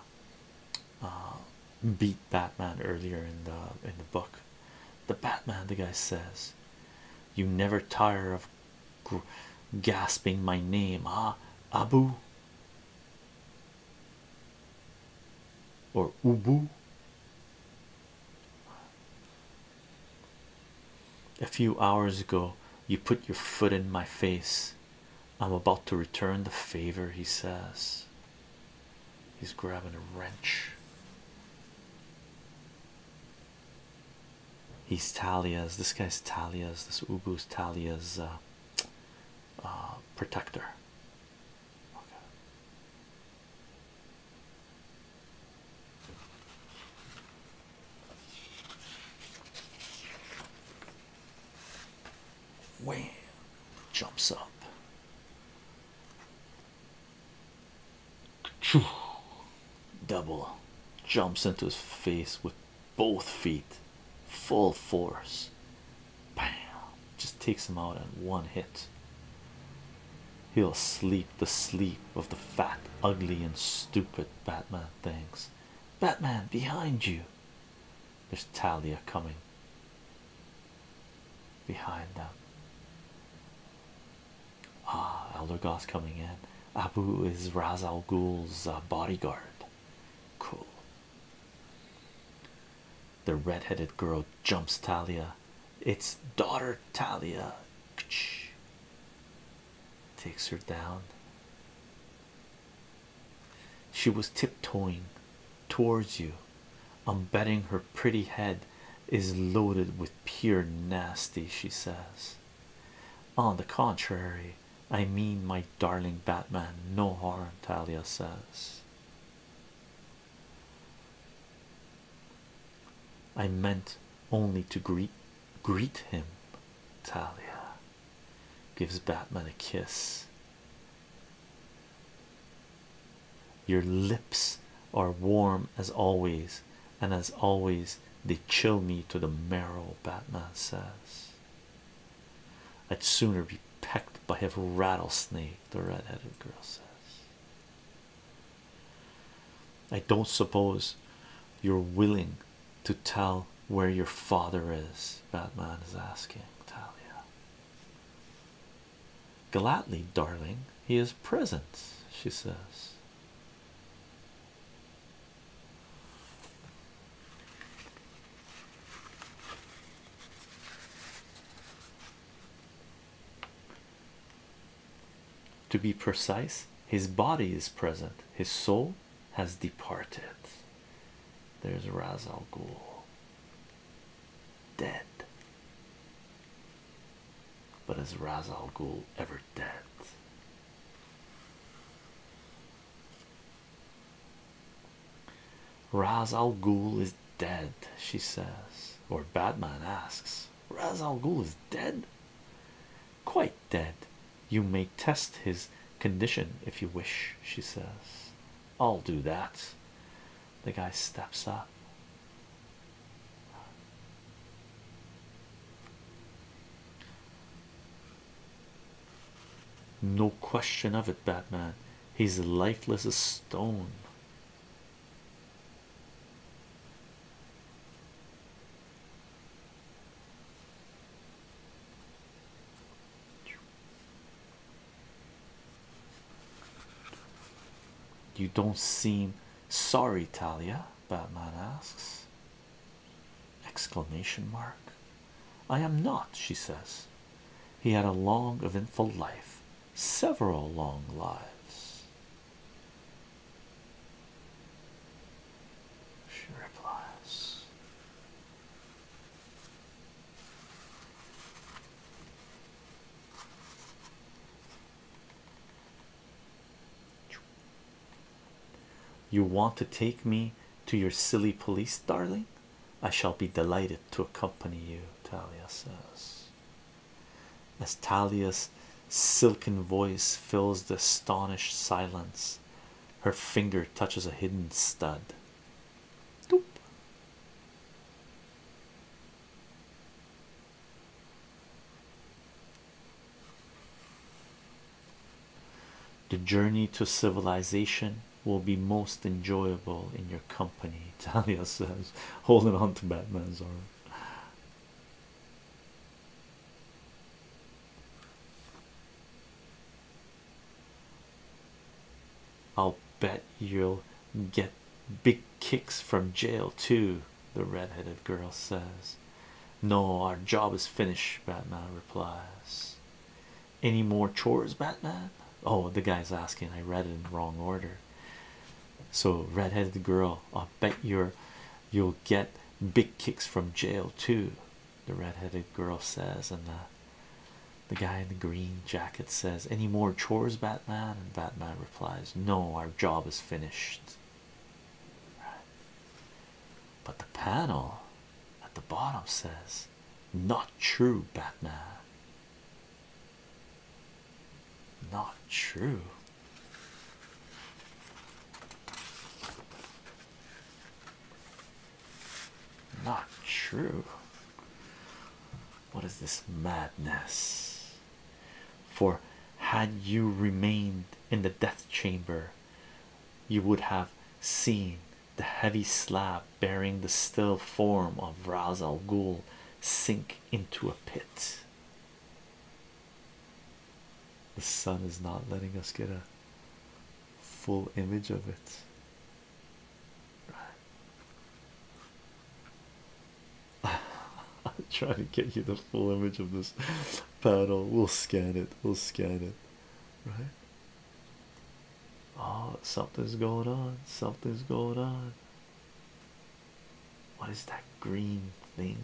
uh, beat Batman earlier in the in the book. The Batman, the guy says, "You never tire of gasping my name, ah, Abu." or ubu a few hours ago you put your foot in my face i'm about to return the favor he says he's grabbing a wrench he's talia's this guy's talia's this ubu's talia's uh, uh, protector Okay. Wham! Jumps up. Double jumps into his face with both feet full force. Bam! Just takes him out in one hit. He'll sleep the sleep of the fat, ugly, and stupid Batman things. Batman, behind you! There's Talia coming behind them. Ah, Elder Goss coming in. Abu is Raz Ghul's uh, bodyguard. Cool. The red-headed girl jumps Talia. It's daughter Talia. Takes her down. She was tiptoeing towards you. I'm betting her pretty head is loaded with pure nasty, she says. On the contrary, I mean, my darling Batman, no harm, Talia says. I meant only to greet greet him. Talia gives Batman a kiss. Your lips are warm as always, and as always, they chill me to the marrow, Batman says. I'd sooner be pecked by a rattlesnake, the red-headed girl says. I don't suppose you're willing to tell where your father is, Batman is asking Talia. Gladly, darling, he is present, she says. To be precise, his body is present, his soul has departed. There's Raz Al dead. But is Raz Al ever dead? Raz Al Ghul is dead, she says, or Batman asks, Raz Al Ghul is dead, quite dead. You may test his condition if you wish, she says. I'll do that. The guy steps up. No question of it, Batman. He's lifeless as stone. You don't seem sorry, Talia. Batman asks. Exclamation mark. I am not, she says. He had a long, eventful life, several long lives. She replies. You want to take me to your silly police, darling? I shall be delighted to accompany you, Talia says. As Talia's silken voice fills the astonished silence, her finger touches a hidden stud. Doop. The journey to civilization will be most enjoyable in your company, Talia says, holding on to Batman's arm. I'll bet you'll get big kicks from jail too, the red-headed girl says. No, our job is finished, Batman replies. Any more chores, Batman? Oh, the guy's asking. I read it in the wrong order. So, redheaded girl, i bet you're you'll get big kicks from jail too. The redheaded girl says, and the the guy in the green jacket says, Any more chores, Batman? And Batman replies, No, our job is finished. But the panel at the bottom says, not true, Batman. Not true. Not true. What is this madness? For had you remained in the death chamber, you would have seen the heavy slab bearing the still form of Razal Gul sink into a pit. The sun is not letting us get a full image of it. I'll try to get you the full image of this panel. We'll scan it. We'll scan it. Right. Oh, something's going on. Something's going on. What is that green thing?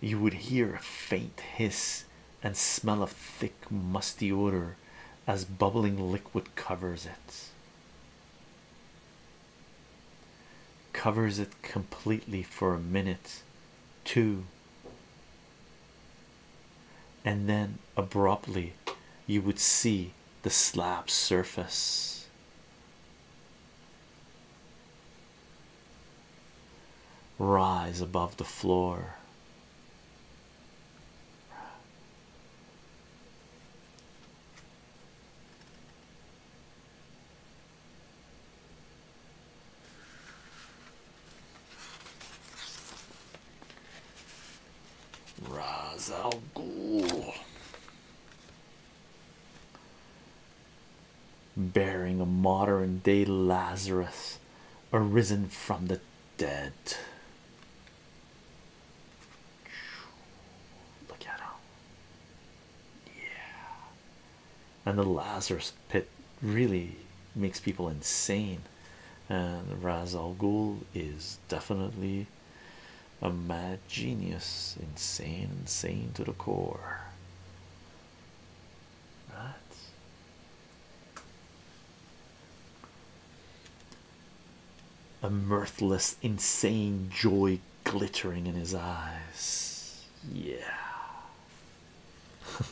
You would hear a faint hiss and smell a thick, musty odor as bubbling liquid covers it. Covers it completely for a minute, two, and then abruptly you would see the slab surface rise above the floor. Ra's al Ghul. Bearing a modern day Lazarus arisen from the dead. Look at him. Yeah and the Lazarus pit really makes people insane. And Raz Al Ghul is definitely a mad genius, insane, insane to the core. Right. A mirthless, insane joy glittering in his eyes. Yeah.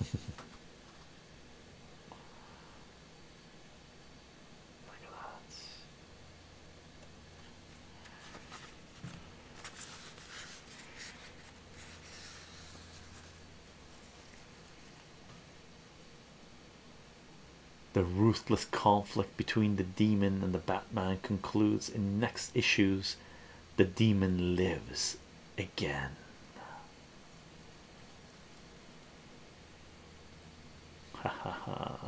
The ruthless conflict between the demon and the Batman concludes in next issues the demon lives again. Ha ha ha.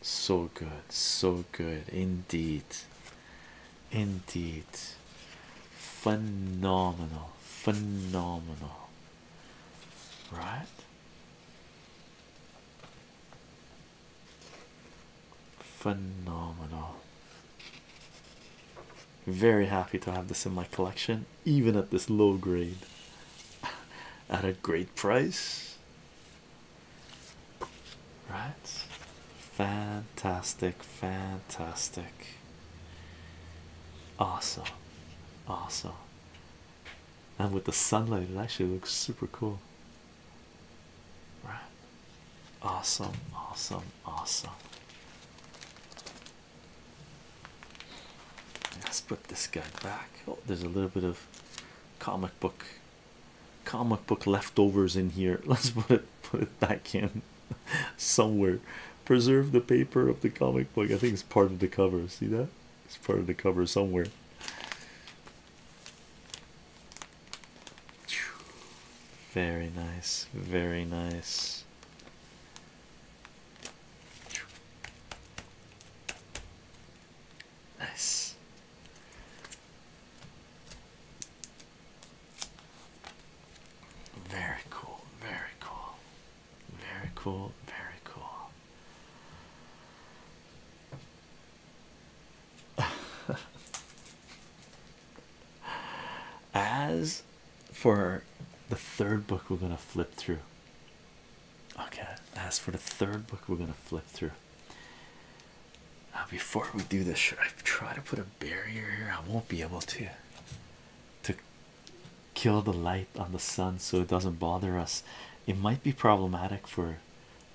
So good, so good indeed. Indeed, phenomenal, phenomenal right? Phenomenal. Very happy to have this in my collection, even at this low grade, at a great price, right? Fantastic, fantastic. Awesome, awesome. And with the sunlight, it actually looks super cool. Right. Awesome, awesome, awesome. Let's put this guy back. Oh, there's a little bit of comic book comic book leftovers in here. Let's put it put it back in somewhere Preserve the paper of the comic book. I think it's part of the cover. See that? It's part of the cover somewhere. Very nice. Very nice. Nice. Very cool. Very cool. Very cool, very cool. As for the third book, we're going to flip through. Okay, as for the third book, we're going to flip through. Now, before we do this, I try to put a barrier here? I won't be able to. To kill the light on the sun so it doesn't bother us. It might be problematic for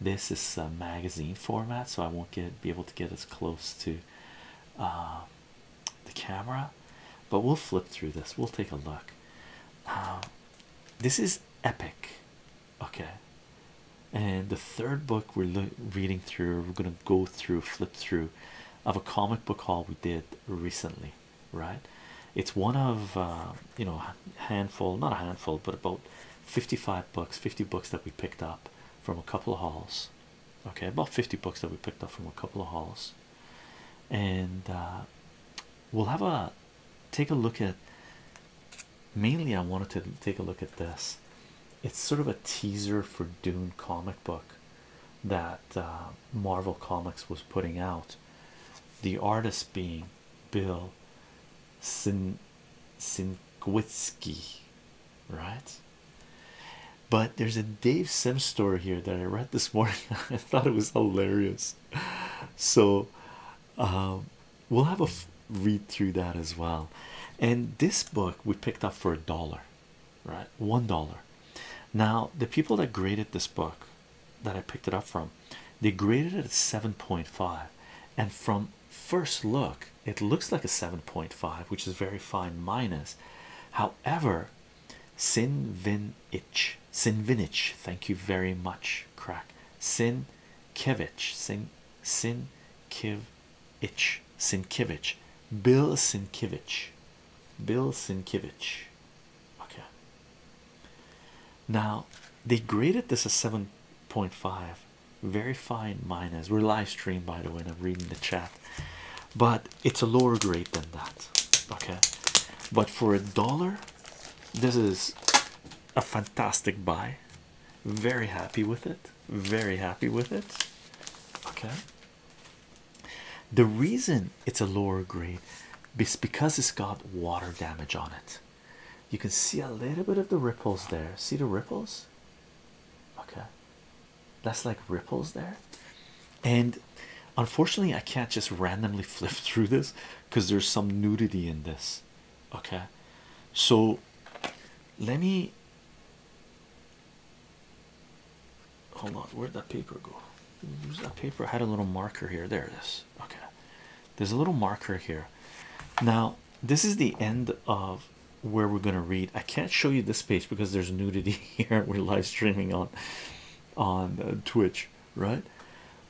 this is a magazine format, so I won't get be able to get as close to uh, the camera, but we'll flip through this. We'll take a look. Um, this is epic, okay. And the third book we're reading through, we're gonna go through, flip through, of a comic book haul we did recently right it's one of uh, you know handful not a handful but about 55 books 50 books that we picked up from a couple of hauls okay about 50 books that we picked up from a couple of hauls and uh, we'll have a take a look at mainly I wanted to take a look at this it's sort of a teaser for Dune comic book that uh, Marvel Comics was putting out. The artist being Bill Sin Sinkwitsky, right? But there's a Dave Sims story here that I read this morning. I thought it was hilarious. So um, we'll have a read through that as well. And this book we picked up for a dollar right one dollar now the people that graded this book that i picked it up from they graded it at 7.5 and from first look it looks like a 7.5 which is very fine minus however sin vin itch sin vinich thank you very much crack sin kevich sin sin Kivich, itch sinkivich bill sinkivich bill sinkivich Okay. Now they graded this as 7.5, very fine minus. We're live stream by the way, and I'm reading the chat, but it's a lower grade than that. Okay, but for a dollar, this is a fantastic buy. Very happy with it. Very happy with it. Okay. The reason it's a lower grade is because it's got water damage on it. You can see a little bit of the ripples there. See the ripples? Okay, that's like ripples there. And unfortunately, I can't just randomly flip through this because there's some nudity in this. Okay, so let me hold on where'd that paper go Where's that paper I had a little marker here there it is okay there's a little marker here now this is the end of where we're going to read I can't show you this page because there's nudity here we're live streaming on on uh, Twitch right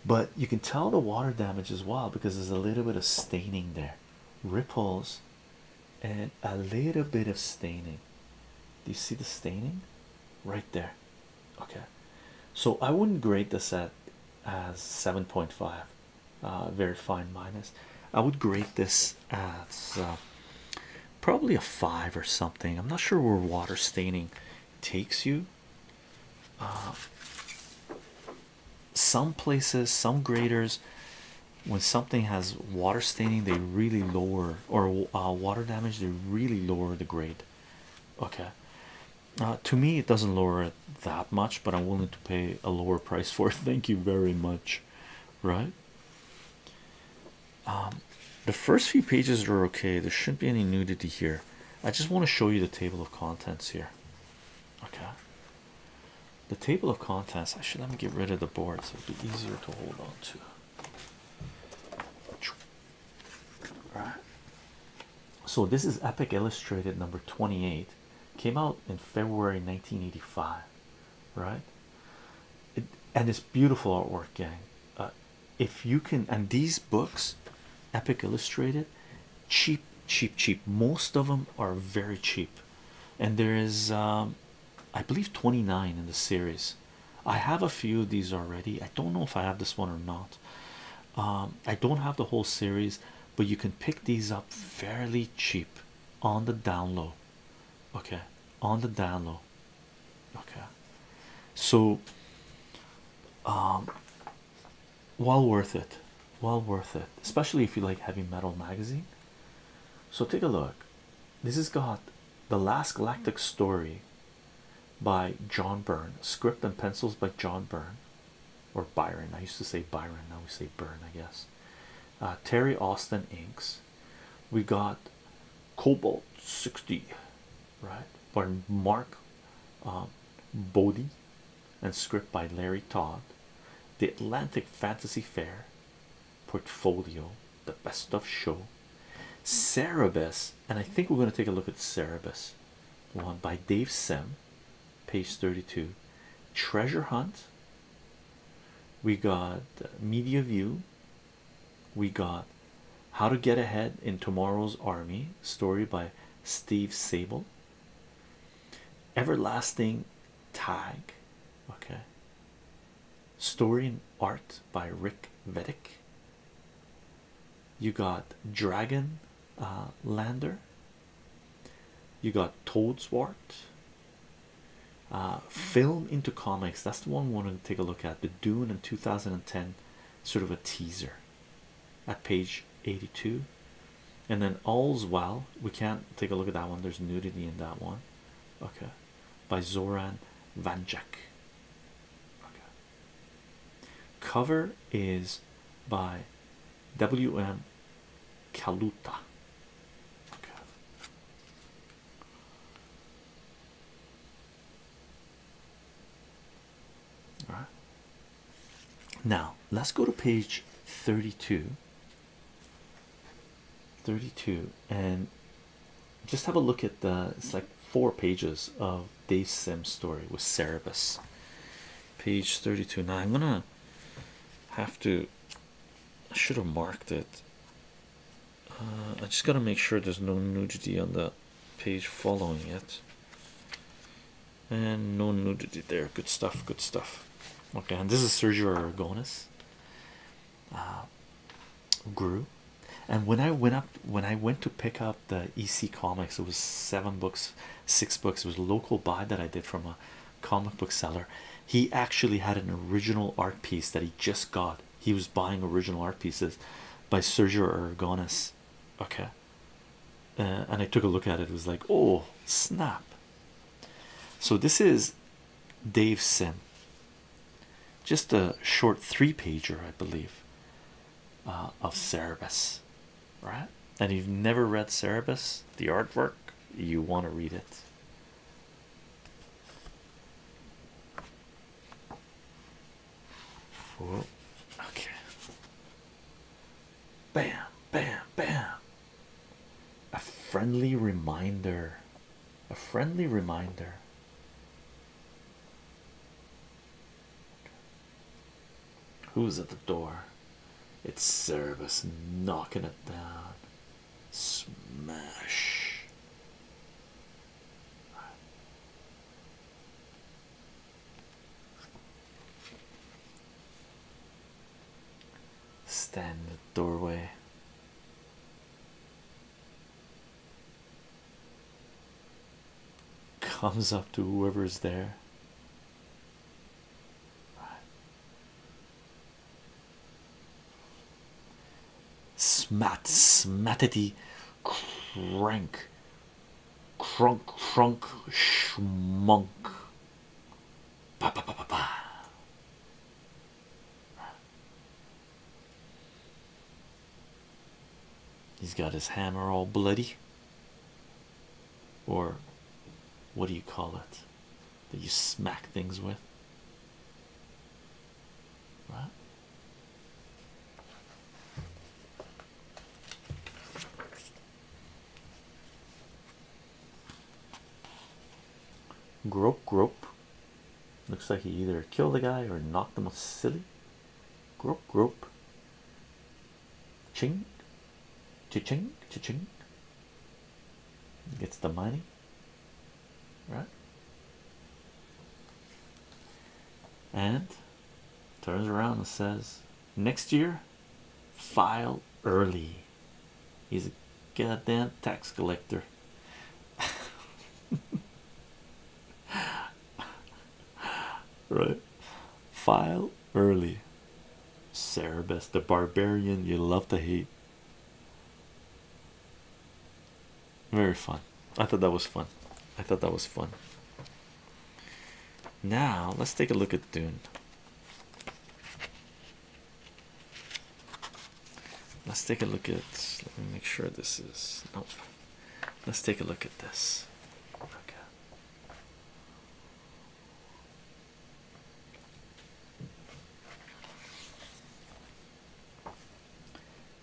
but you can tell the water damage is wild because there's a little bit of staining there ripples and a little bit of staining do you see the staining right there okay so i wouldn't grade this at as 7.5 uh, very fine minus i would grade this as uh, probably a five or something i'm not sure where water staining takes you uh, some places some graders when something has water staining they really lower or water damage they really lower the grade okay uh, to me it doesn't lower it that much but i'm willing to pay a lower price for it thank you very much right um, the first few pages are okay there shouldn't be any nudity here i just want to show you the table of contents here okay the table of contents i should let me get rid of the board so it would be easier to hold on to so this is epic illustrated number 28 came out in february 1985 right and it's beautiful artwork gang uh, if you can and these books epic illustrated cheap cheap cheap most of them are very cheap and there is um, i believe 29 in the series I have a few of these already. I don't know if I have this one or not. Um, I don't have the whole series, but you can pick these up fairly cheap on the download. Okay, on the download. Okay, so um, well worth it, well worth it, especially if you like heavy metal magazine. So, take a look. This is got the last galactic story by John Byrne, script and pencils by John Byrne or Byron. I used to say Byron, now we say Byrne, I guess. Uh, Terry Austin inks. We got Cobalt 60, right? By Mark um, Boddy, and script by Larry Todd. The Atlantic Fantasy Fair portfolio the best of show Cerebus, and I think we're going to take a look at Cerebus one by Dave Sem, page 32. Treasure Hunt, we got uh, Media View, we got How to Get Ahead in Tomorrow's Army, story by Steve Sable, Everlasting Tag, okay, story and art by Rick Vedic you got Dragon uh, Lander, you got Toadswart. Uh, film into comics that's the one we want to take a look at the Dune in 2010 sort of a teaser at page 82 and then all's well we can't take a look at that one there's nudity in that one okay by Zoran Vanjak okay Cover is by W.M. Kaluta. Okay. Now let's go to page 32. 32 and just have a look at the it's like four pages of Dave Sim's story with Cerebus, page 32. Now, I'm gonna have to, I should have marked it. Uh, I just gotta make sure there's no nudity on the page following it, and no nudity there. Good stuff, good stuff. Okay, and this is Sergio Argonis. Uh, grew and when i went up when i went to pick up the ec comics it was seven books six books it was local buy that i did from a comic book seller he actually had an original art piece that he just got he was buying original art pieces by sergio aragonis okay uh, and i took a look at it it was like oh snap so this is dave sim just a short three pager, I believe, uh, of Ceribus, right? And you've never read Ceribus? the artwork, you want to read it. Okay. Bam, bam, bam. A friendly reminder. A friendly reminder. Who's at the door? It's Cerberus knocking it down. Smash. Stand in the doorway comes up to whoever's there. Smat, smatity, crank, crunk, crunk, schmunk. Ba, ba, ba, ba, ba. He's got his hammer all bloody, or what do you call it that you smack things with? Right? Grope, grope. Looks like he either killed the guy or knocked him silly. Group, group. Ching, ching, ching ching Gets the money, right? And turns around and says, next year, file early. He's a goddamn tax collector. right? File early. Cerberus, the barbarian you love to hate. Very fun. I thought that was fun. I thought that was fun. Now let's take a look at Dune. Let's take a look at. Let me make sure this is. Nope. Let's take a look at this.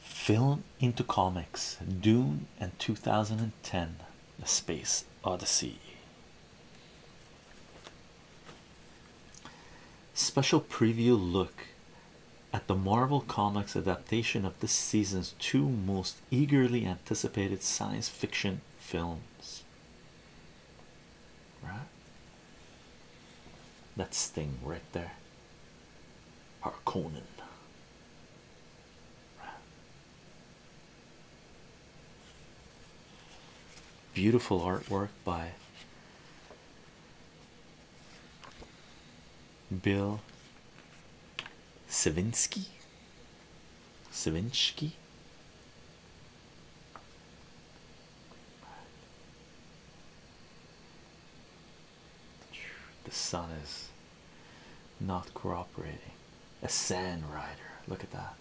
Film into comics, Dune and 2010, The Space Odyssey. Special preview look at the Marvel Comics adaptation of this season's two most eagerly anticipated science fiction films. Right? That sting right there. Harkonnen. Right. Beautiful artwork by Bill Savinsky. Savinsky. The sun is not cooperating. A sand rider. Look at that.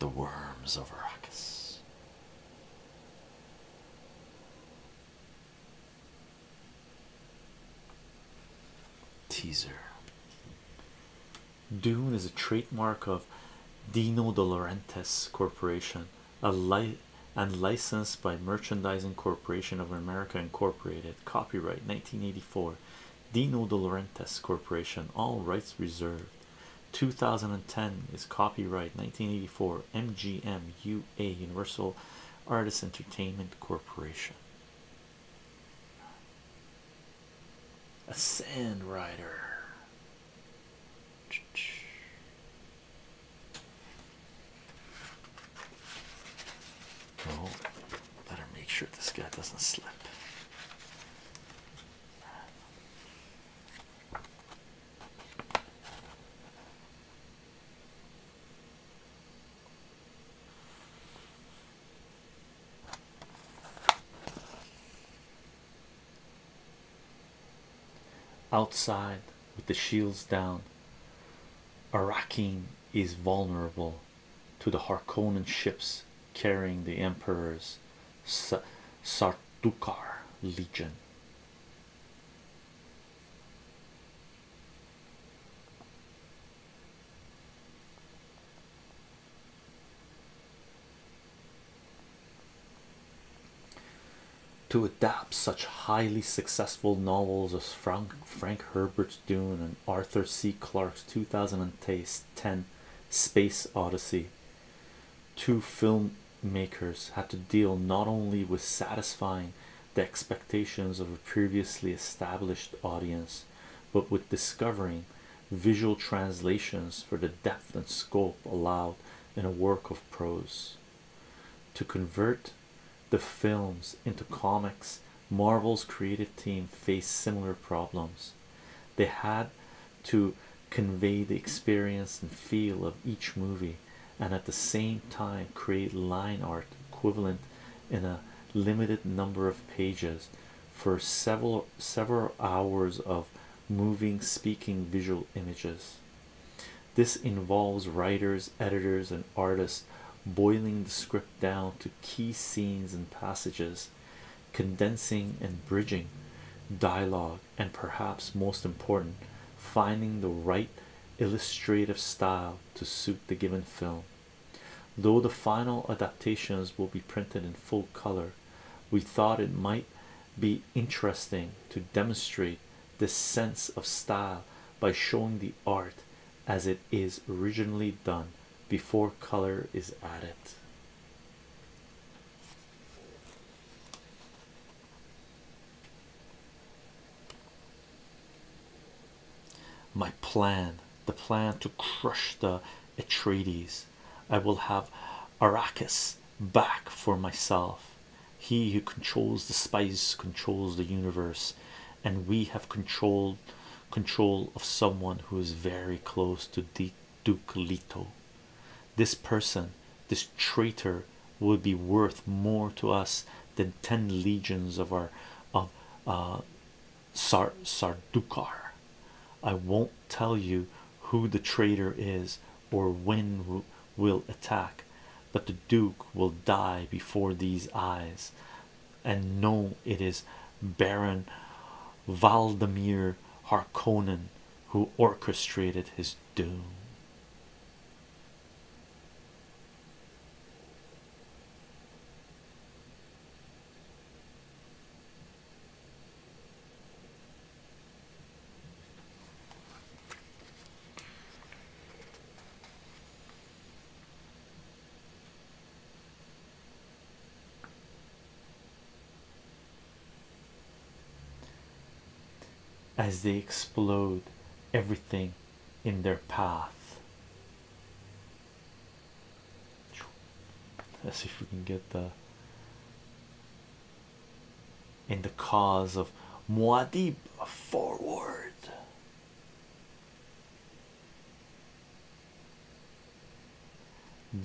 The worms of Arrakis. Teaser Dune is a trademark of Dino De Laurentiis Corporation, a and licensed by Merchandising Corporation of America Incorporated. Copyright 1984. Dino De Laurentiis Corporation. All rights reserved. 2010 is copyright 1984 MGM UA Universal Artists Entertainment Corporation. A sand rider. Oh, better make sure this guy doesn't slip. Outside with the shields down, Arakin is vulnerable to the Harkonnen ships carrying the Emperor's S Sartukar Legion. To adapt such highly successful novels as Frank Frank Herbert's Dune and Arthur C. Clarke's 2010 Space Odyssey two filmmakers had to deal not only with satisfying the expectations of a previously established audience but with discovering visual translations for the depth and scope allowed in a work of prose to convert the films into comics marvel's creative team faced similar problems they had to convey the experience and feel of each movie and at the same time create line art equivalent in a limited number of pages for several several hours of moving speaking visual images this involves writers editors and artists boiling the script down to key scenes and passages condensing and bridging dialogue, and perhaps most important, finding the right illustrative style to suit the given film. Though the final adaptations will be printed in full color, we thought it might be interesting to demonstrate this sense of style by showing the art as it is originally done before color is added my plan, the plan to crush the Atreides. I will have Arrakis back for myself. He who controls the spice controls the universe, and we have control control of someone who is very close to de Duke Lito, This person, this traitor, will be worth more to us than ten legions of our of uh, Sar Sardukar. I won't tell you who the traitor is or when will attack, but the Duke will die before these eyes. And no, it is Baron Valdemir Harconen who orchestrated his doom as they explode everything in their path. Let's see if we can get the in the cause of Muad'Dib forward.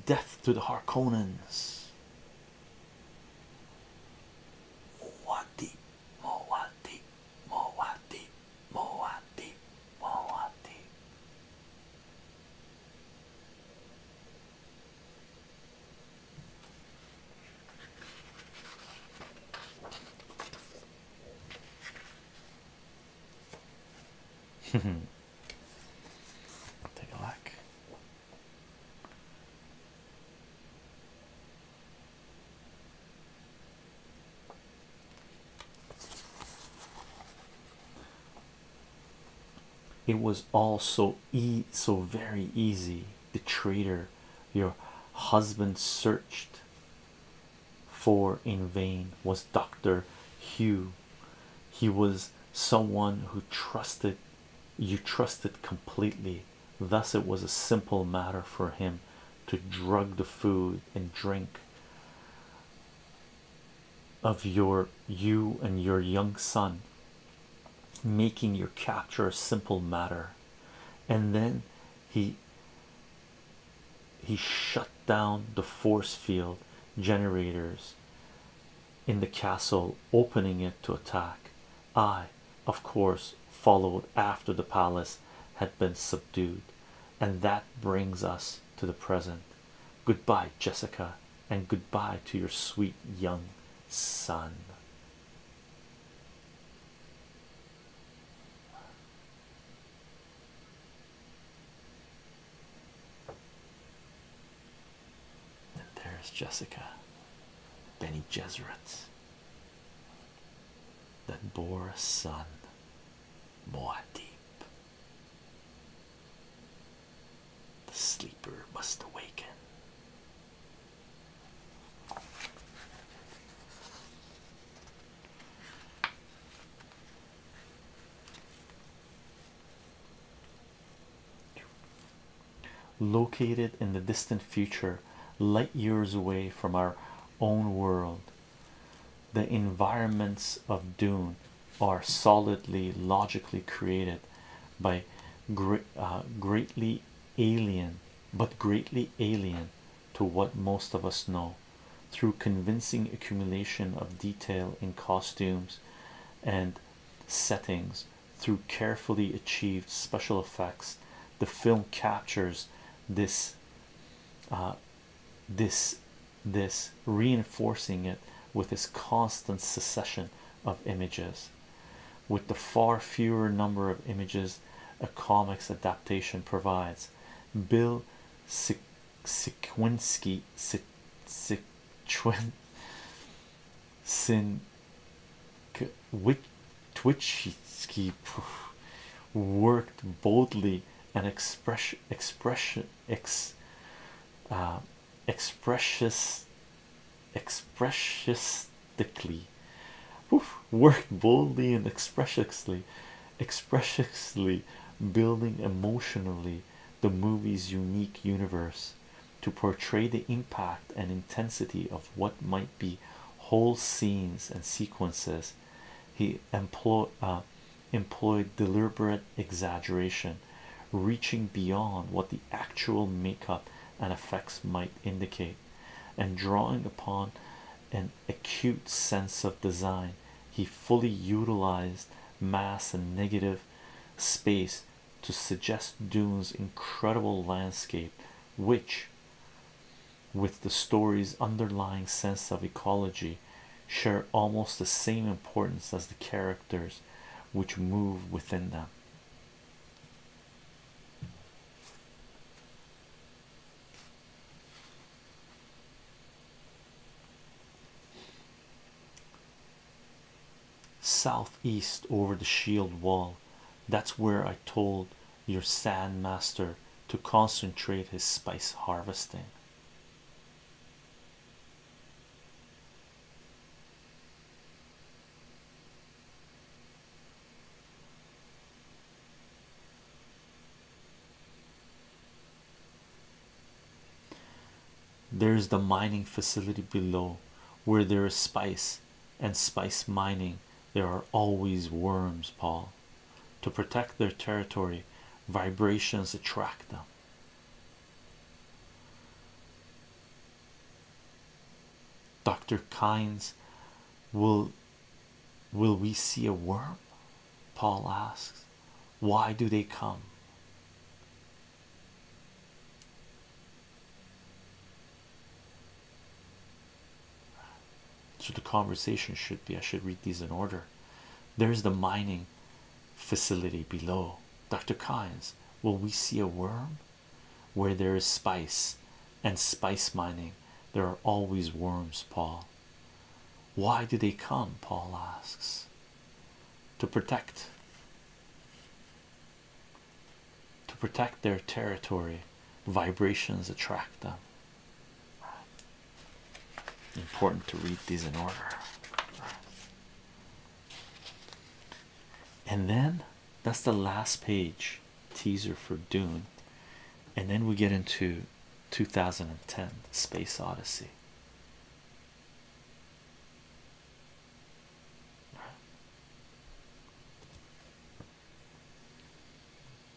Death to the Harkonnens. Moati, Moati, Moati, Moati, Moati. Take a look. It was all so e so very easy. The traitor your husband searched for in vain was Dr. Hugh. He was someone who trusted you trusted completely. Thus, it was a simple matter for him to drug the food and drink of your you and your young son, making your capture a simple matter. And then he he shut down the force field generators in the castle, opening it to attack. I, of course, followed after the palace had been subdued, and that brings us to the present. Goodbye, Jessica, and good bye to your sweet young son. And there's Jessica, Benny Gesserit, that bore a son, more deep. The sleeper must awaken. Located in the distant future, light years away from our own world, the environments of Dune are solidly logically created by uh, greatly alien, but greatly alien to what most of us know through convincing accumulation of detail in costumes and settings through carefully achieved special effects the film captures this uh, this this reinforcing it with this constant succession of images with the far fewer number of images a comics adaptation provides bill Sequinski Sin Twitchitsky worked boldly and express expression ex uh, expresses worked boldly and expressiously expressiously building emotionally the movie's unique universe to portray the impact and intensity of what might be whole scenes and sequences he uh, employed deliberate exaggeration reaching beyond what the actual makeup and effects might indicate and drawing upon an acute sense of design he fully utilized mass and negative space to suggest Dune's incredible landscape, which, with the story's underlying sense of ecology, share almost the same importance as the characters which move within them southeast over the shield wall. That's where I told your sand master to concentrate his spice harvesting. There's the mining facility below where there is spice and spice mining. There are always worms, Paul. To protect their territory, vibrations attract them. Dr. Kynes, will will we see a worm? Paul asks. Why do they come? So the conversation should be I should read these in order. There's the mining facility below. Dr. Kynes, will we see a worm? Where there is spice and spice mining, there are always worms, Paul. Why do they come? Paul asks. To protect to protect their territory vibrations attract them important to read these in order and then that's the last page teaser for Dune and then we get into 2010 Space Odyssey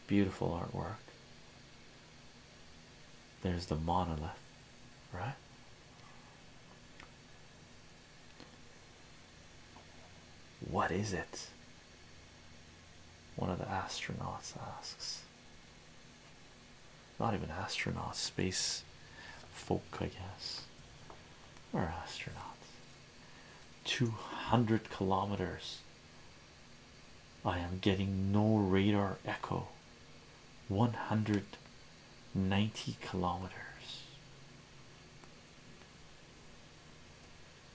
Beautiful artwork. There's the monolith, right? What is it? One of the astronauts asks. Not even astronauts, space folk, I guess. We're astronauts. 200 kilometers. I am getting no radar echo. 190 kilometers.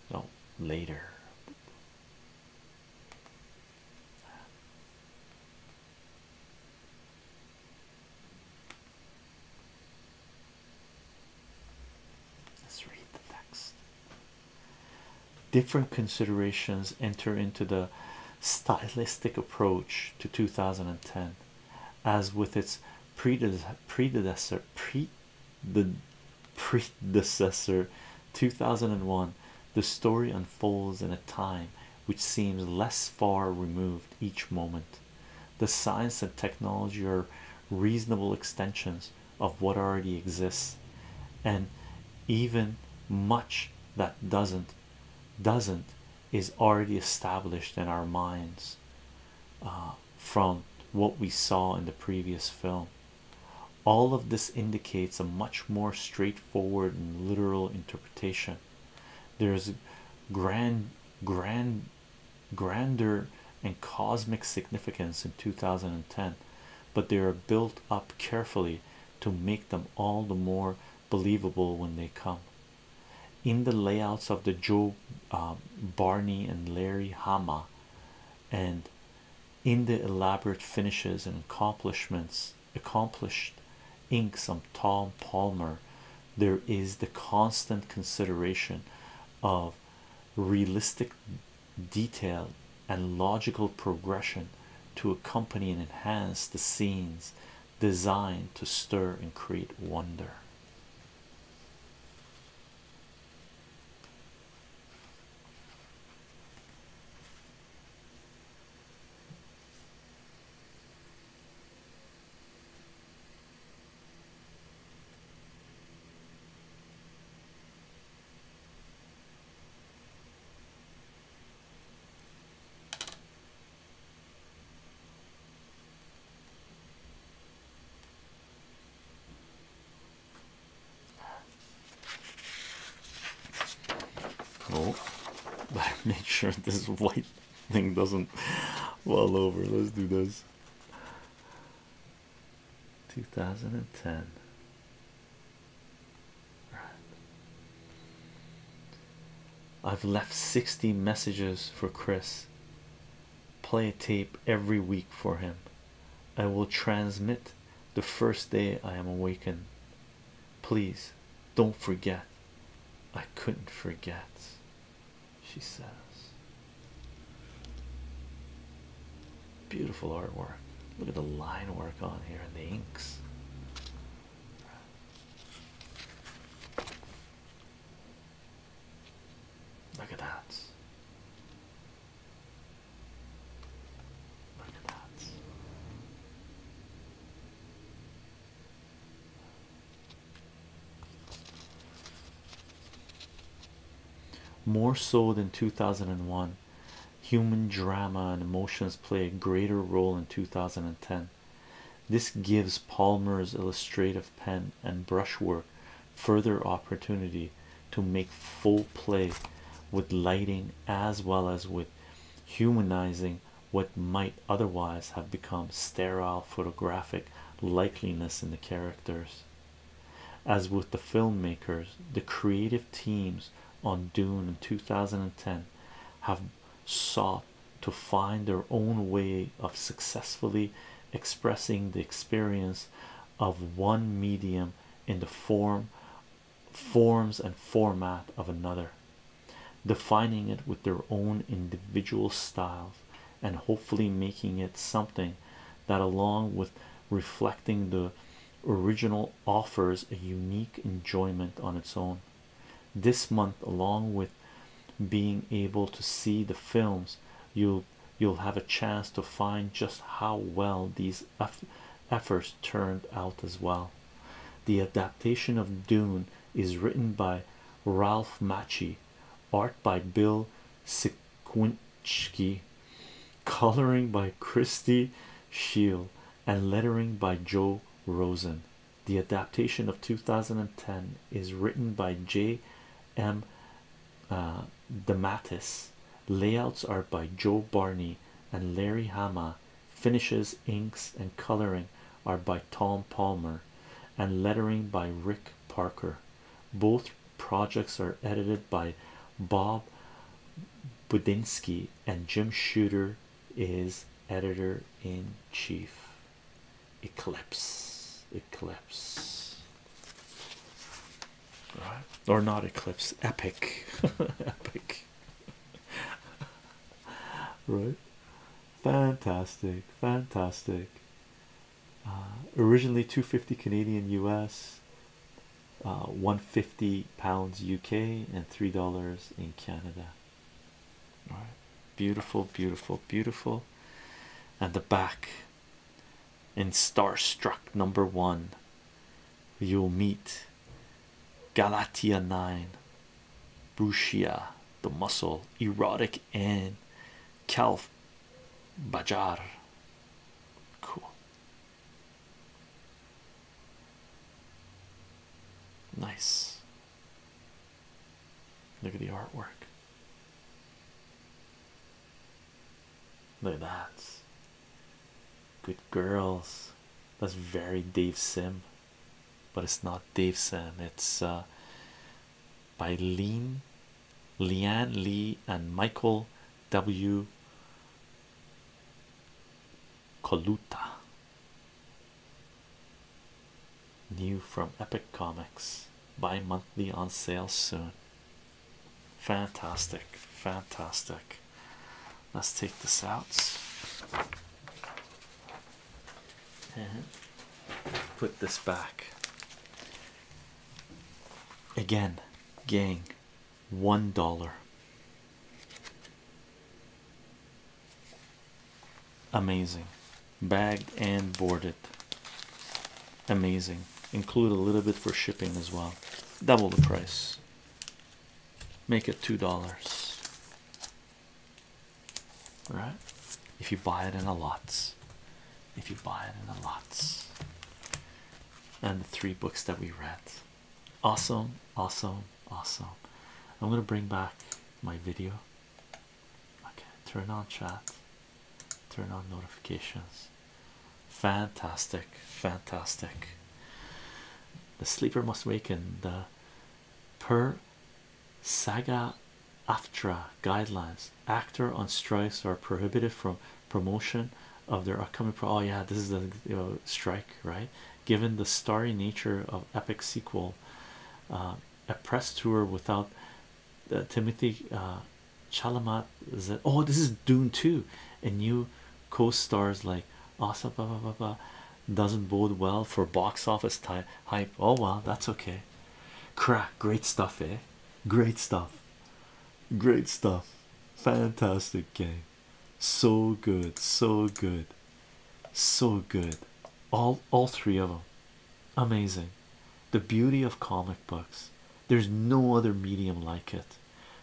No, oh, later. Let's read the text. Different considerations enter into the stylistic approach to 2010, as with its predecessor 2001. The story unfolds in a time which seems less far removed each moment. The science and technology are reasonable extensions of what already exists, and even much that doesn't doesn't is already established in our minds uh, from what we saw in the previous film. All of this indicates a much more straightforward and literal interpretation. There's grand grand Grander and cosmic significance in 2010, but they are built up carefully to make them all the more believable when they come. In the layouts of the Joe uh, Barney and Larry Hama, and in the elaborate finishes and accomplishments accomplished inks of Tom Palmer there is the constant consideration of realistic detail and logical progression to accompany and enhance the scenes designed to stir and create wonder. Oh, Better make sure this is white thing doesn't well over. Let's do this. 2010. I've left 60 messages for Chris. Play a tape every week for him. I will transmit the first day I am awakened. Please don't forget. I couldn't forget she says. Beautiful artwork. Look at the line work on here and the inks. Look at that. Look at that. More so than 2001, human drama and emotions play a greater role in 2010. This gives Palmer's illustrative pen and brushwork further opportunity to make full play with lighting as well as with humanizing what might otherwise have become sterile photographic likeliness in the characters. As with the filmmakers, the creative teams on Dune in 2010 have sought to find their own way of successfully expressing the experience of one medium in the form forms and format of another defining it with their own individual styles and hopefully making it something that, along with reflecting the original, offers a unique enjoyment on its own. This month, along with being able to see the films, you'll you'll have a chance to find just how well these efforts turned out as well. The adaptation of Dune is written by Ralph Maci art by Bill Sikwinski, coloring by Christy Shield, and lettering by Joe Rosen. The adaptation of 2010 is written by J. M. Uh, Dematis. Layouts are by Joe Barney and Larry Hama. Finishes, inks, and coloring are by Tom Palmer, and lettering by Rick Parker. Both projects are edited by Bob Budinsky, and Jim Shooter is editor in chief. Eclipse, Eclipse, right? Or not Eclipse, Epic, Epic, right? Fantastic, fantastic. Uh, originally 250 Canadian US, uh, 150 pounds UK, and three dollars in Canada. All right, beautiful, beautiful, beautiful. And the back, in Starstruck number one, you'll meet Galatia 9, Brucia, the muscle, erotic and calf Bajar. Cool. Nice. Look at the artwork. Look at that. Good girls. That's very Dave Sim, but it's not Dave Sim. It's uh, by Lean, Leanne Lee, and Michael W. Coluta. New from Epic Comics. Bi monthly on sale soon. Fantastic, fantastic. Let's take this out and uh-huh. put this back again, gang one dollar. Amazing, bagged and boarded. Amazing, include a little bit for shipping as well. Double the price, make it two dollars right? If you buy it in a lots, if you buy it in a lots, and the three books that we read, awesome, awesome, awesome. I'm gonna bring back my video. Okay, turn on chat, turn on notifications. Fantastic, fantastic. The sleeper must waken. The per saga aftra guidelines actor on strikes are prohibited from promotion of their upcoming pro oh yeah this is the strike right given the starry nature of epic sequel uh, a press tour without uh, timothy uh, chalamat oh this is dune 2 and new co-stars like asa blah, blah, blah, blah, doesn't bode well for box office hype oh well that's okay crack great stuff eh Great stuff. Great stuff. Fantastic game. So good. So good. So good. All all three of them. Amazing. The beauty of comic books. There's no other medium like it.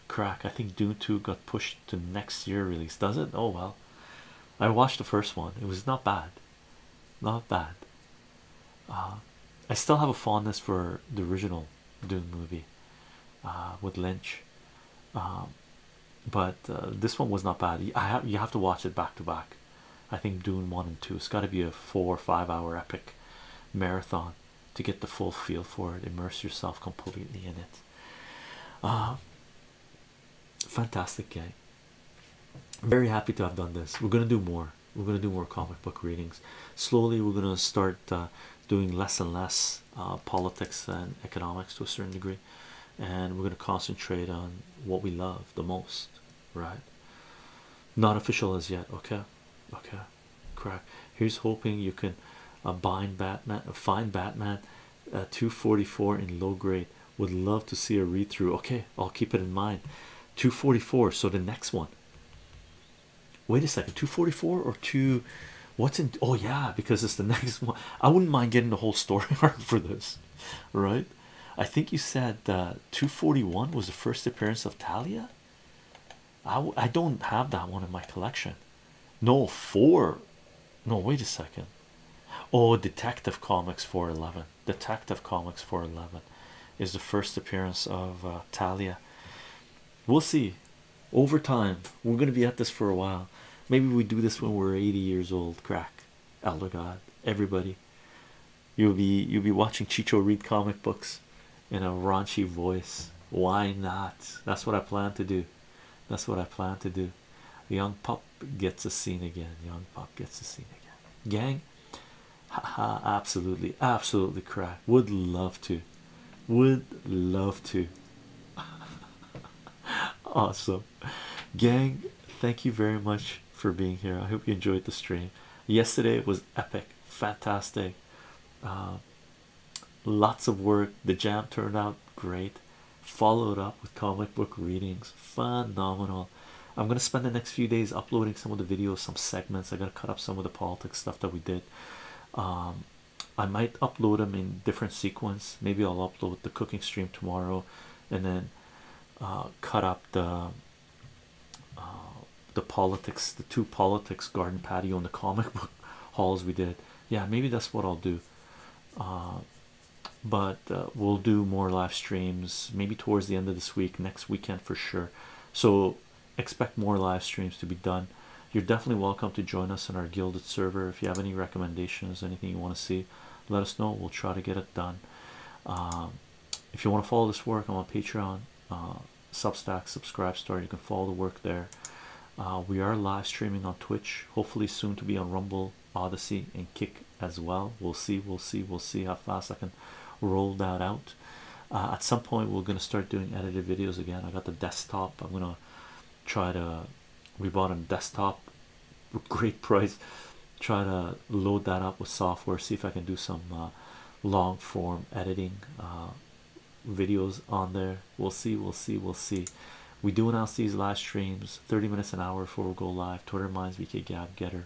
Crack. I think Doom 2 got pushed to next year release. Does it? Oh well. I watched the first one. It was not bad. Not bad. Uh, I still have a fondness for the original Dune movie uh, with Lynch, um, but uh, this one was not bad. you have to watch it back to back. I think Dune one and two. It's got to be a four or five hour epic marathon to get the full feel for it. Immerse yourself completely in it. Uh, fantastic game. Very happy to have done this. We're gonna do more we're going to do more comic book readings slowly we're going to start uh, doing less and less uh, politics and economics to a certain degree and we're going to concentrate on what we love the most right not official as yet okay okay crack here's hoping you can uh, batman uh, find batman 244 in low grade would love to see a read-through okay i'll keep it in mind 244 so the next one wait a second 244 or 2 what's in oh yeah because it's the next one i wouldn't mind getting the whole story arc for this right i think you said uh, 241 was the first appearance of talia I, I don't have that one in my collection no four no wait a second oh detective comics 411 Detective Comics 411 is the first appearance of uh, Talia. We'll see over time, we're going to be at this for a while. Maybe we do this when we're 80 years old. Crack, Elder God, everybody. You'll be you'll be watching Chicho read comic books in a raunchy voice. Why not? That's what I plan to do. That's what I plan to do. The young pup gets a scene again. Young pup gets a scene again. Gang, haha absolutely absolutely crack would love to would love to awesome gang thank you very much for being here i hope you enjoyed the stream yesterday was epic fantastic um, lots of work the jam turned out great followed up with comic book readings phenomenal I'm gonna spend the next few days uploading some of the videos, some segments. I am going to cut up some of the politics stuff that we did. Um, I might upload them in different sequence. Maybe I'll upload the cooking stream tomorrow, and then uh, cut up the uh, the politics, the two politics garden patio and the comic book hauls we did. Yeah, maybe that's what I'll do. Uh, but we'll do more live streams maybe towards the end of this week, next weekend for sure so expect more live streams to be done you're definitely welcome to join us in our gilded server if you have any recommendations anything you want to see let us know we'll try to get it done um, if you want to follow this work i'm on patreon uh, substack subscribe store you can follow the work there uh, we are live streaming on twitch hopefully soon to be on rumble odyssey and kick as well we'll see we'll see we'll see how fast i can roll that out uh, at some point we're going to start doing edited videos again i got the desktop i'm going to try to we bought a desktop great price try to load that up with software see if i can do some uh, long form editing uh, videos on there we'll see we'll see we'll see we do announce these live streams 30 minutes an hour before we go live twitter minds we vk gab her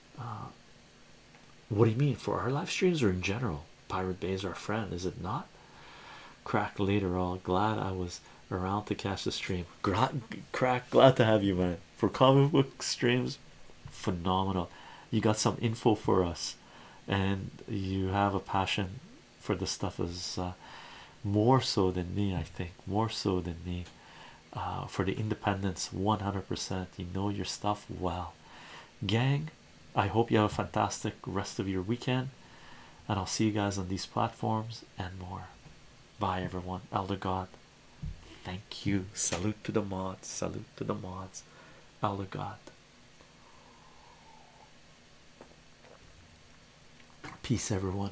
uh, what do you mean for our live streams or in general? Pirate Bay is our friend, is it not? Crack later all glad I was around to catch the stream. crack, glad to have you, man. For comic book streams, phenomenal. You got some info for us, and you have a passion for the stuff as uh, more so than me. I think more so than me. Uh, for the independence 100%. You know your stuff well, gang. I hope you have a fantastic rest of your weekend, and I'll see you guys on these platforms and more. Bye, everyone. Elder God, thank you. Salute to the mods, salute to the mods. Elder God, peace, everyone.